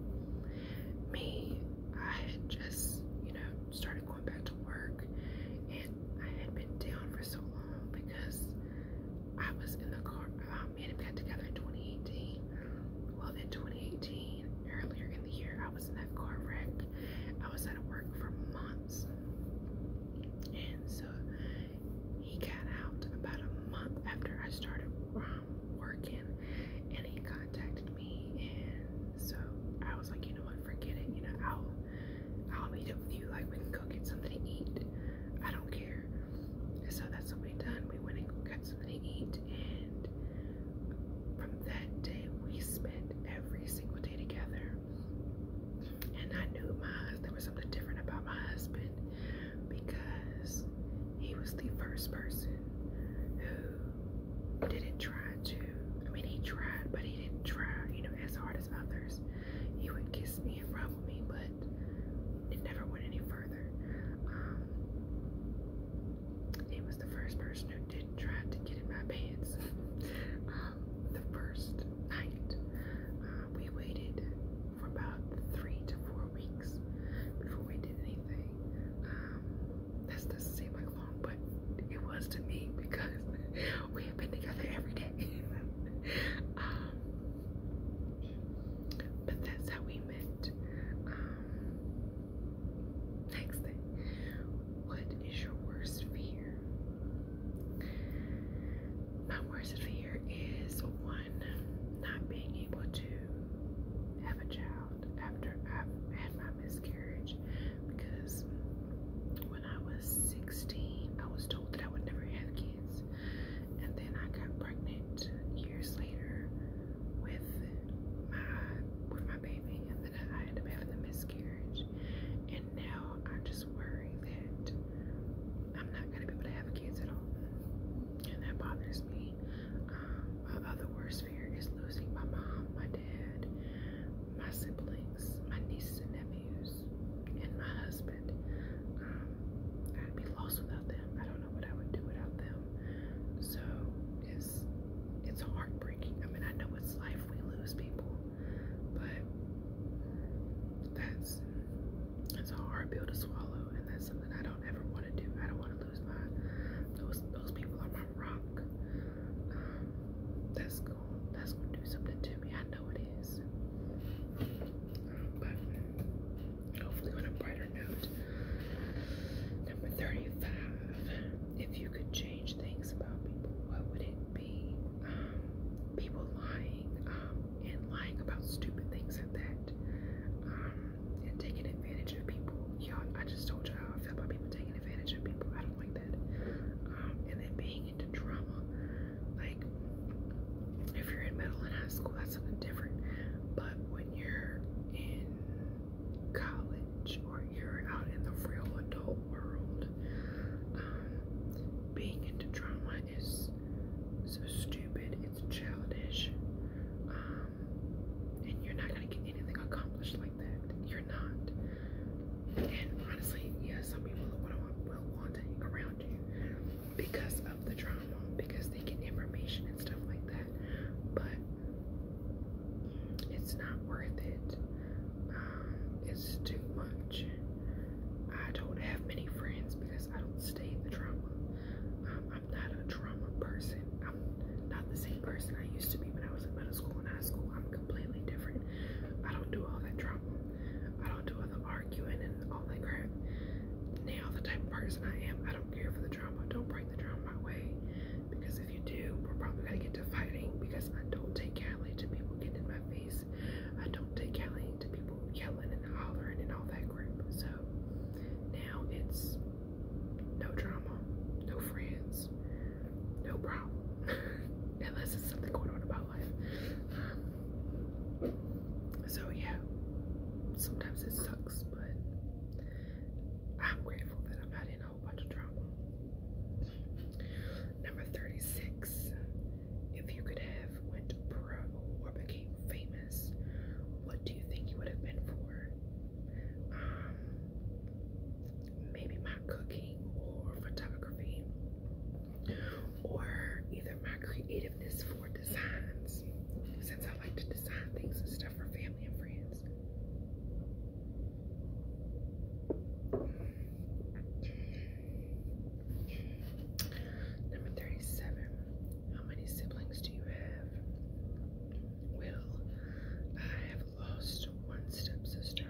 Me, I had just, you know, started going back to work and I had been down for so long because I was in the car um, me and him got together in 2018. Well in 2018, earlier in the year, I was in that car wreck. I was out of work for months. And so he got out about a month after I started um, working, and he contacted me, and so I was like, you know what, forget it. You know, I'll I'll meet up with you. Like we can go get something to eat. I don't care. so that's what we done. We went and got something to eat, and from that day we spent every single day together. And I knew my there was something different about my husband because he was the first person who didn't try to. I mean, he tried, but he didn't try, you know, as hard as others. He would kiss me and rub me, but it never went any further. Um, he was the first person who didn't try to get in my pants. Um, the first night. Uh, we waited for about three to four weeks before we did anything. Um, doesn't seem like long, but it was to me because we have been together every day. Um, but that's how we met. Um, next thing, what is your worst fear? My worst fear is one, not being able to have a child after I've had my miscarriage because when I was 16, I was told that I would never have kids, and then I got pregnant years later with my with my baby, and then I ended up having the miscarriage, and now I just worry that I'm not going to be able to have kids at all. And that bothers me. Um, my other worst fear is losing my mom, my dad, my siblings, my nieces and nephews, and my husband. Um, I'd be lost without them. I don't know what I would do without them. So it's it's heartbreaking. I mean, I know it's life we lose people, but that's that's a hard pill to swallow, and that's something I don't ever want to do. I don't want to lose my those those people are my rock. Um, that's gonna that's gonna do something to me. I know it is. but hopefully, on a brighter note. Number thirty-five. If you could change things about people, what would it be? be um, people lying um, and lying about stupid things like that um, and taking advantage of people. Y'all, I just told you how I feel about people taking advantage of people. I don't like that. Um, and then being into drama, like if you're in middle and high school, that's something different. But when you're in college or you're out in the real adult world, um, being into drama drama is so stupid, it's childish, um, and you're not gonna get anything accomplished like that. You're not. And honestly, yeah, some people will want to hang around you because of the drama, because they get information and stuff like that. But it's not worth it. Um, it's too much. I don't have many friends because I don't stay in the drama. Um, I'm not a drama person. I'm not the same person I used to be when I was in middle school and high school. I'm completely different. I don't do all that drama. I don't do all the arguing and all that crap. Now the type of person I am, I don't care for the drama. Don't bring the drama my way. Because if you do, we're probably gonna get to fighting because I don't take kindly to people getting in my face I don't take Kelly to people yelling and hollering and all that crap. So now it's no drama, no friends, no problem. Unless it's something going on about life. so yeah, sometimes it sucks, but I'm grateful that I'm not in a whole bunch of drama. Number 36. If you could have went pro or became famous, what do you think you would have been for? Um, maybe my cooking or photography, or either my creativeness for designs, since I like to design things and stuff for family and friends. Number 37. How many siblings do you have? Well, I have lost one stepsister.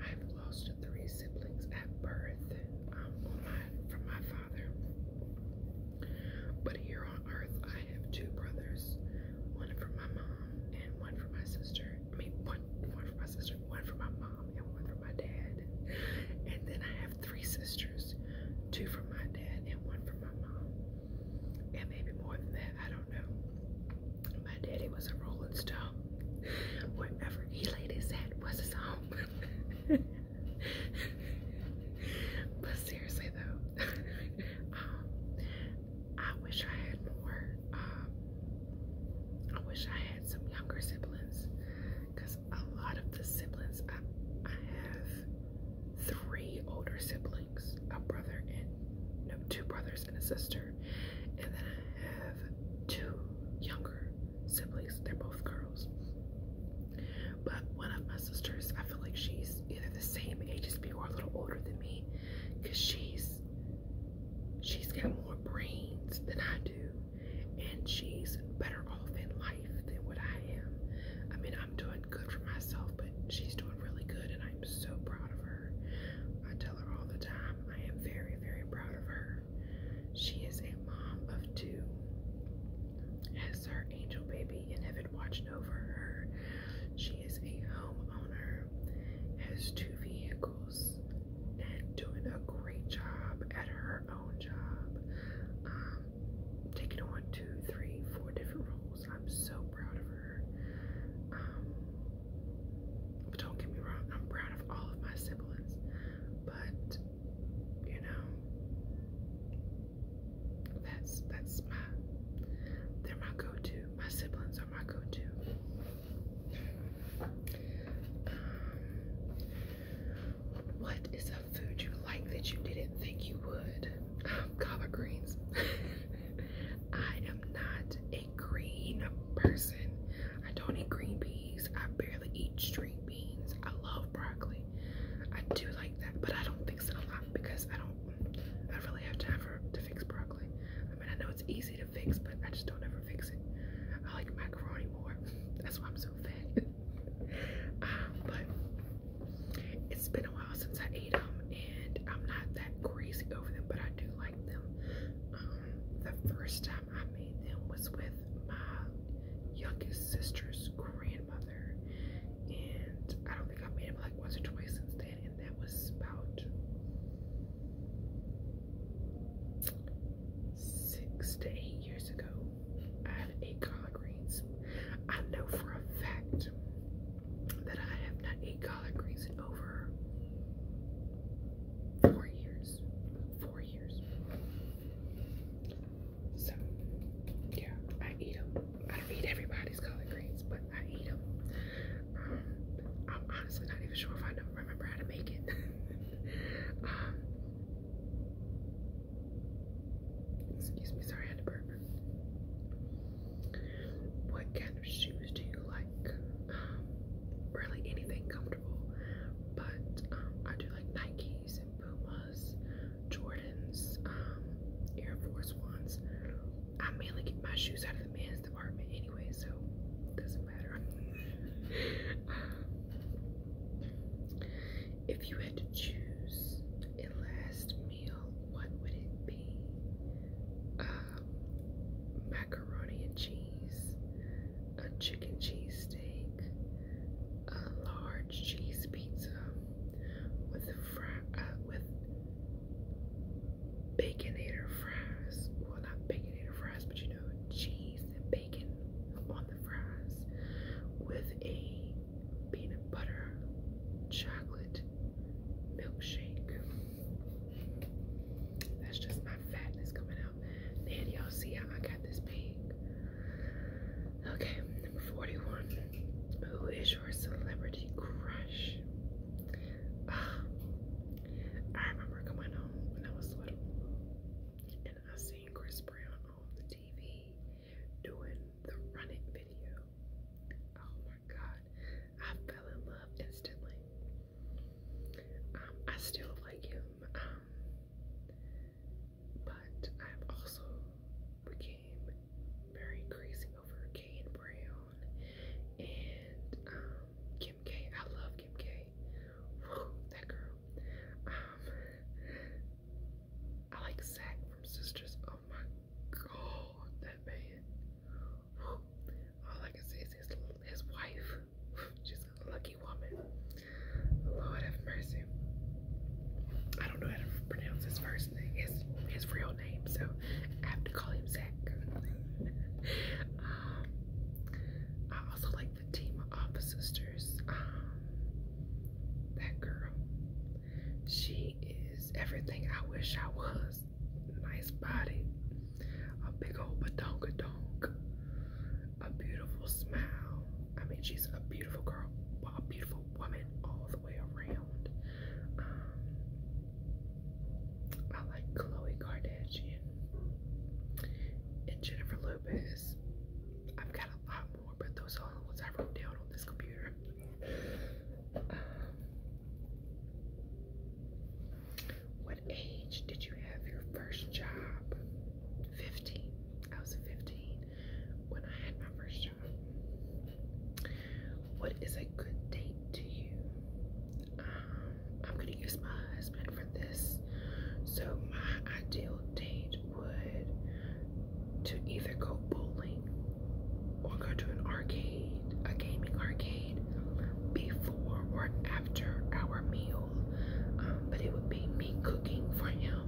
I've lost three siblings at birth um, on my, from my father. But here on earth, I have two brothers. One from my mom and one from my sister. I mean, one, one from my sister, one from my mom and one from my dad. And then I have three sisters, two from my dad and one from my mom. And maybe more than that, I don't know. My daddy was a rolling stone. Wherever he laid his head was his home. but seriously though, um, I wish I had more. Um, I wish I had some younger siblings because a lot of the siblings I, have three older siblings, a brother and two brothers and a sister, and then I have two younger siblings. They're both girls, but one of my sisters, I feel like she's either the same age as me or a little older than me, because she's she's got more brains than I do and she's better off in life than what I am. I mean, I'm doing good for myself, but she's doing really good, and I'm so proud of her. I tell her all the time, I am very, very proud of her. She is a mom of two, has her angel baby in heaven watching over her. She is a homeowner, has two vehicles, and doing a great job at her own job. Um, taking on two, three, four different roles. I'm so proud of her. Um, but don't get me wrong, I'm proud of all of my siblings. But you know, that's that's my they're my go-to. My siblings are my go-to. Um, what is a food you like that you didn't think you would? collard um, greens. I am not a green person. I don't eat green peas. I barely eat string beans. I love broccoli. I do like that, but I don't fix it a lot because I don't. I really have time for to fix broccoli. I mean, I know it's easy to fix, but I just don't ever fix it. I like macaroni more. That's why I'm so thin. Um, but it's been a while since I ate them, and I'm not that crazy over them, but I do like them. Um, the first time I made them was with my youngest sister's grandmother, and I don't think I've made them like once or twice since then, and that was about six to eight years ago, I had eight collard greens. I know for a fact that I have not ate collard greens in over four years. Four years. So, yeah, I eat them. I don't eat everybody's collard greens, but I eat them. Um, I'm honestly not even sure if I don't remember how to make it. Um, Excuse me, sorry, I What kind of shoes do you like? Um, really anything comfortable, but um, I do like Nikes and Pumas, Jordans, um, Air Force Ones. I mainly get my shoes out of the men's department anyway, so it doesn't matter. Um, if you had to choose a last meal, what would it be? Uh, macaroni and cheese, a chicken cheese steak, a large cheese pizza with fri uh, with baconator fries. Well, not baconator fries, but you know, cheese and bacon on the fries with a peanut butter chocolate milkshake. That's just my fatness coming out. And y'all see how I got this big. Okay, number 41. Who is your celebrity crush? Ah, I remember coming home when I was little and I seen Chris Brown on the TV doing the Run video. Oh my god, I fell in love instantly. Um, I still like him, um, but I've also became very crazy over Kane Brown and um, Kim K. I love Kim K that girl. Um, I like Zach from Sisters. Oh my god, that man. All I can see is his, his wife. She's a lucky woman. Lord have mercy. I don't know how to pronounce his first name, his, his real name, so I have to call him Zach. um, I also like Fatima Alpha Sisters, um, that girl, she is everything I wish I was. Nice body, a big old badonka donk, a beautiful smile. I mean, she's a beautiful girl, a beautiful woman all the way around. Um, I like Khloe Kardashian and Jennifer Lopez. I've got a lot but those are the I wrote down on this computer. Um, what age did you have your first job? 15. I was 15 when I had my first job. What is a good date to you? Um, I'm gonna use my husband this. So my ideal date would to either go bowling or go to an arcade, a gaming arcade, before or after our meal. Um, but it would be me cooking for him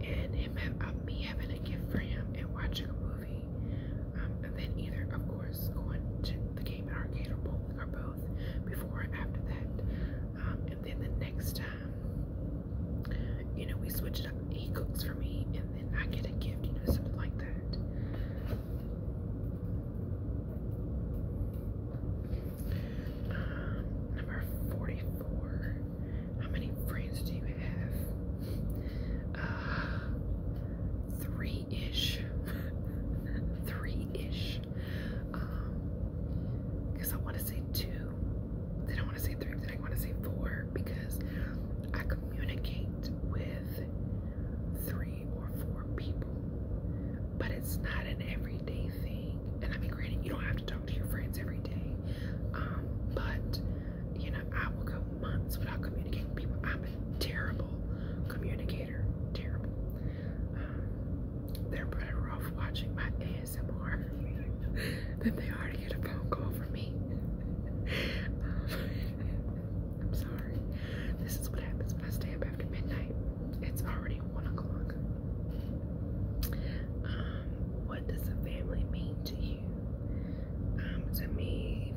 and him uh, me having a gift for him and watching a movie. Um, and then either, of course, going to the gaming arcade or bowling or both before or after that. Um, and then the next time, you know, we switch it up. He cooks for me, and then I get a gift, you know, something like that. Um, number 44. How many friends do you have? three ish. three ish. Because um, I want to say two, then I want to say three, then I want to say four because I communicate with three or four people, but it's not an everyday thing. And I mean, granted, you don't have to talk to your friends every day, um, but you know, I will go months without communicating with people. I'm a terrible communicator, terrible. Um, they're pretty rough watching my ASMR that they already get a phone call from me. Um, I'm sorry. This is what happens when I stay up after midnight. It's already one o'clock. Um, what does a family mean to you? Um, to me,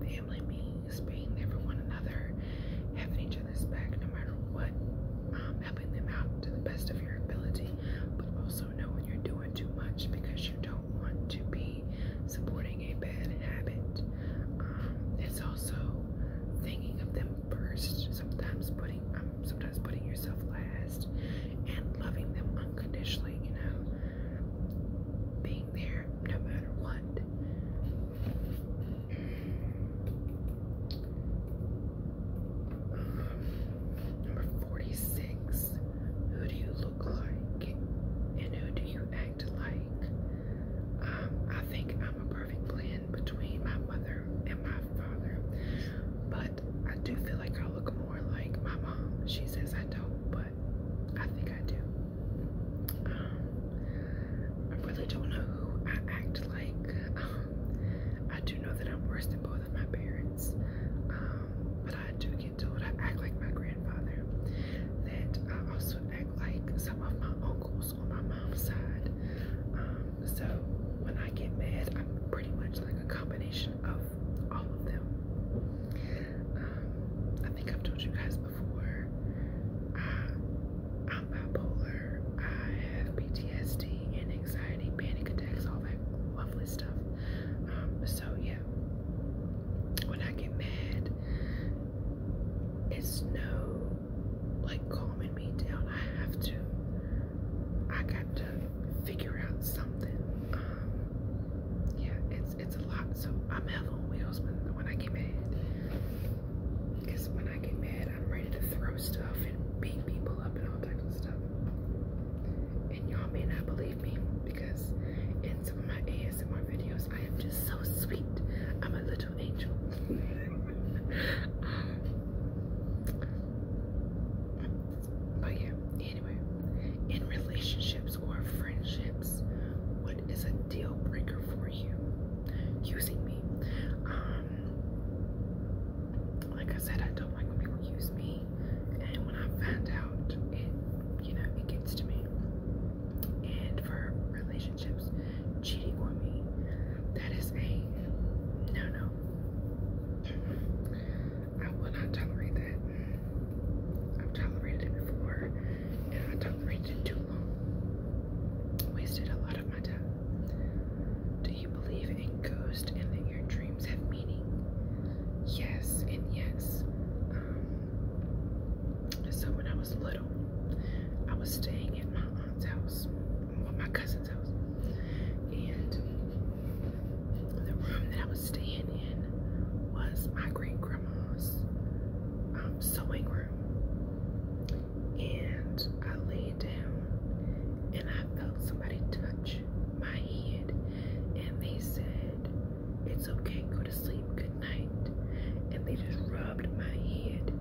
family means being there for one another, having each other's back no matter what helping them out to the best of your ability, but also know when you're doing too much because you don't want to be supporting a bad habit. Um, it's also thinking of them first, sometimes putting um, sometimes putting yourself last and loving them unconditionally, you know, being there no matter what. Number 46. Who do you look like and who do you act like? Um, I think I'm a perfect blend between my mother and my father, but I do feel like I look more like my mom. She says I don't, but I think I do. Um, I really don't know who I act like. Um, I do know that I'm worse than both of my parents, um, but I do get told I act like my grandfather. That I also act like some of my uncles on my mom's side. Um, so when I get mad, I'm pretty much like a combination of all of them. Um, I think I've told you guys before. I'm bipolar. I have PTSD and anxiety, panic attacks, all that lovely stuff. Um, so yeah, when I get mad, it's no like calming me down. I have to, I got to figure out something. Um, yeah, it's it's a lot. So I'm hell on wheels when when I get mad. Because when I get mad. I'm ready to throw stuff and beat people up and all types of stuff. And y'all may not believe me because in some of my ASMR videos, I am just so sweet. I'm a little angel. Um, but yeah, anyway, in relationships or friendships, what is a deal breaker for you? Using me. Um, like I said, I don't like when people use me, and when I find out, it you know it gets to me. And for relationships, cheating on me, that is a no no. I will not tolerate that. I've tolerated it before, and I tolerated it too long. Wasted a lot do you believe in ghosts and that your dreams have meaning? Yes and yes. Um, so when I was little, I was staying at my aunt's house, or my cousin's house, and the room that I was staying in was my great grandma's um, sewing room. And I laid down and I felt somebody touch my head and they said, It's okay, go to sleep, good night. And they just rubbed my head.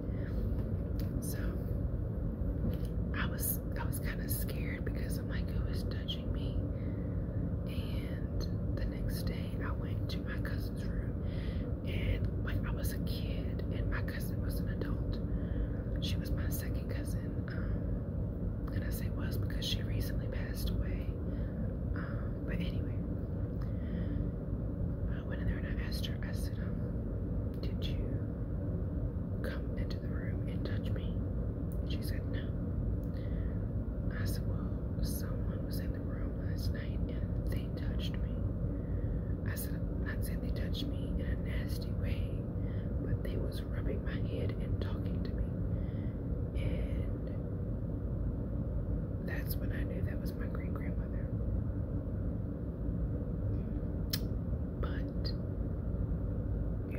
So I was I was kind of scared because I'm like was oh, touching me? And the next day I went to my cousin's room and like I was a kid and my cousin was an adult. She was my second cousin I'm gonna say was because she recently passed away. Um, but anyway, I went in there and I asked her, I said, um, did you come into the room and touch me? She said, no. I said, well, someone was in the room last night and they touched me. I said, I'm not saying they touched me in a nasty way but they was rubbing my head and talking to me. And that's when I knew that was my great grandmother. But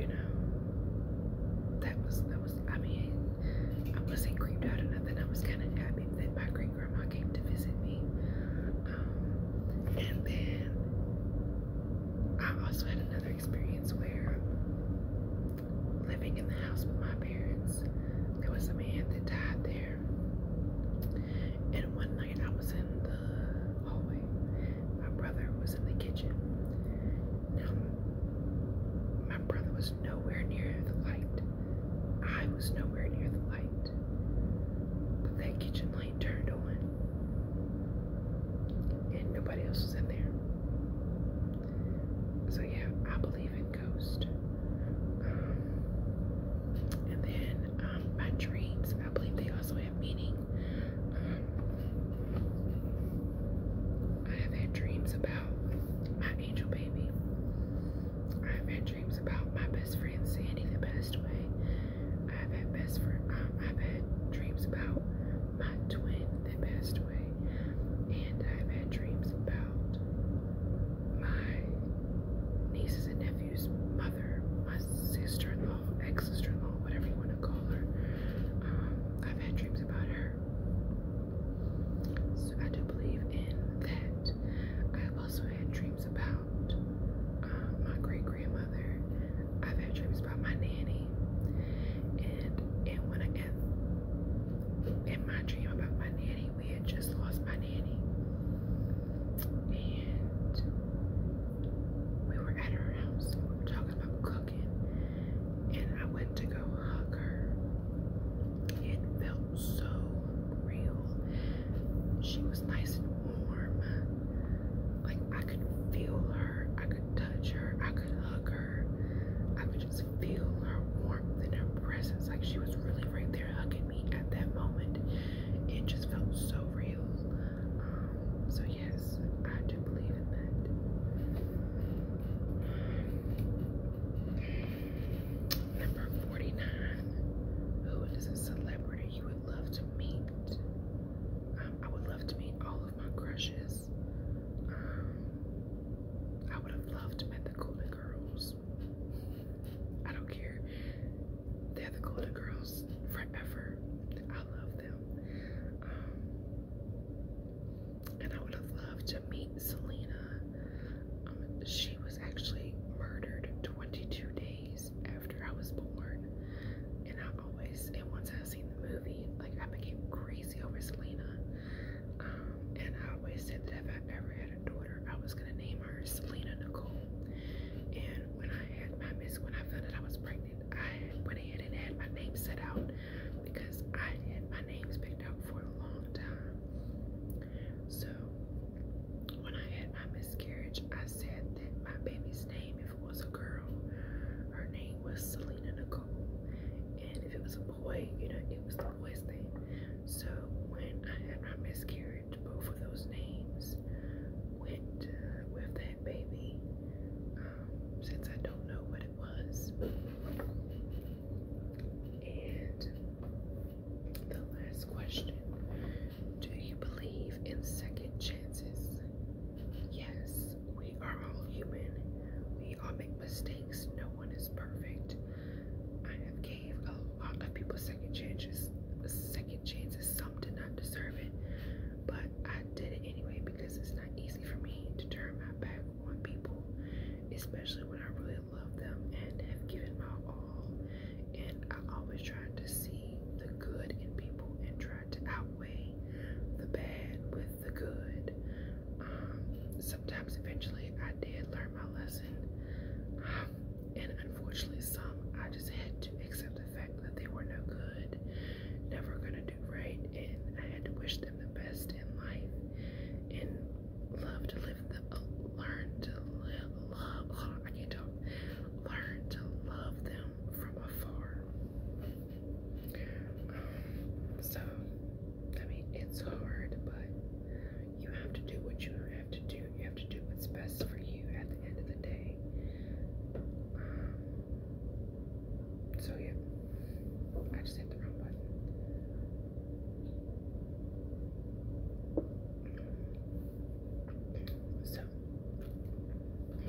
you know, that was that was I mean, I wasn't creeped out or nothing. I was kinda happy that my great grandma came to visit me and then I also had another experience where living in the house with my parents, there was a man that died there. And one night I was in the hallway. My brother was in the kitchen. Now, my brother was nowhere near the light. I was nowhere near the light. But that kitchen turned on and nobody else is in there. So, yeah, I believe in ghosts. Um, and then um, my dreams, I believe they also have meaning. Um, I have had dreams about my angel baby. I have had dreams about my best friend Sandy the best way. Um, I've had dreams about my twin that passed away, and I've had dreams about my nieces and nephews' mother, my sister-in-law, ex-sister-in-law, whatever you want to call her. Um, I've had dreams about her. So I do believe in that. I've also had dreams about uh, my great grandmother. I've had dreams about my nanny. And and when I get in my dream about my nanny, we had just lost my nanny. And we were at her house and we were talking about cooking. And I went to go hug her. It felt so real. She was nice and warm. Like I could feel her, I could touch her, I could hug her. I could just feel her warmth and her presence. Like she was really right there hugging me at that moment. It just felt so real. Um, so yes, I do believe in that. Number 49. Who is a celebrity you would love to meet? I would love to meet all of my crushes. Um, I would have loved to meet the Golden Girls. I don't care. They're the Golden Girls forever. I love them. Um, and I would have loved to meet Selena. Um, she was actually murdered 22 days after I was born. And I always, and once I seen the movie, like I became crazy over Selena. Um, and I always said that if I ever had a daughter, I was gonna name her Selena Nicole. And when I had my miss, when I found out I was pregnant, I went ahead and had my name set out because I had my names picked out for a long time. So when I had my miscarriage, I said that my baby's his name if it was a girl. Her name was Selena Nicole. And if it was a boy, you know, it was the boy's name. So when I had my miscarriage, both of those names went uh, with that baby. Um, since I don't know what it was. And the last question. Do you believe in second chances? Yes we are all human. We all make mistakes. No one is perfect. I have gave a lot of people second chances. Second chances. Some did not deserve it, but I did it anyway because it's not easy for me to turn my back on people, especially when I really love them and have given my all. And I always try to see the good in people and to outweigh the bad with the good. Um, sometimes eventually I did learn my lesson. Um, and unfortunately some I just had to accept the fact that they were no good, never gonna do right, and I had to wish them the best in life and love to live them. Uh, learn to love I can't talk learn to love them from afar so, I mean, it's hard, but you have to do what you have to do. You have to do what's best for you at the end of the day. Um, so, yeah, I just hit the wrong button. So,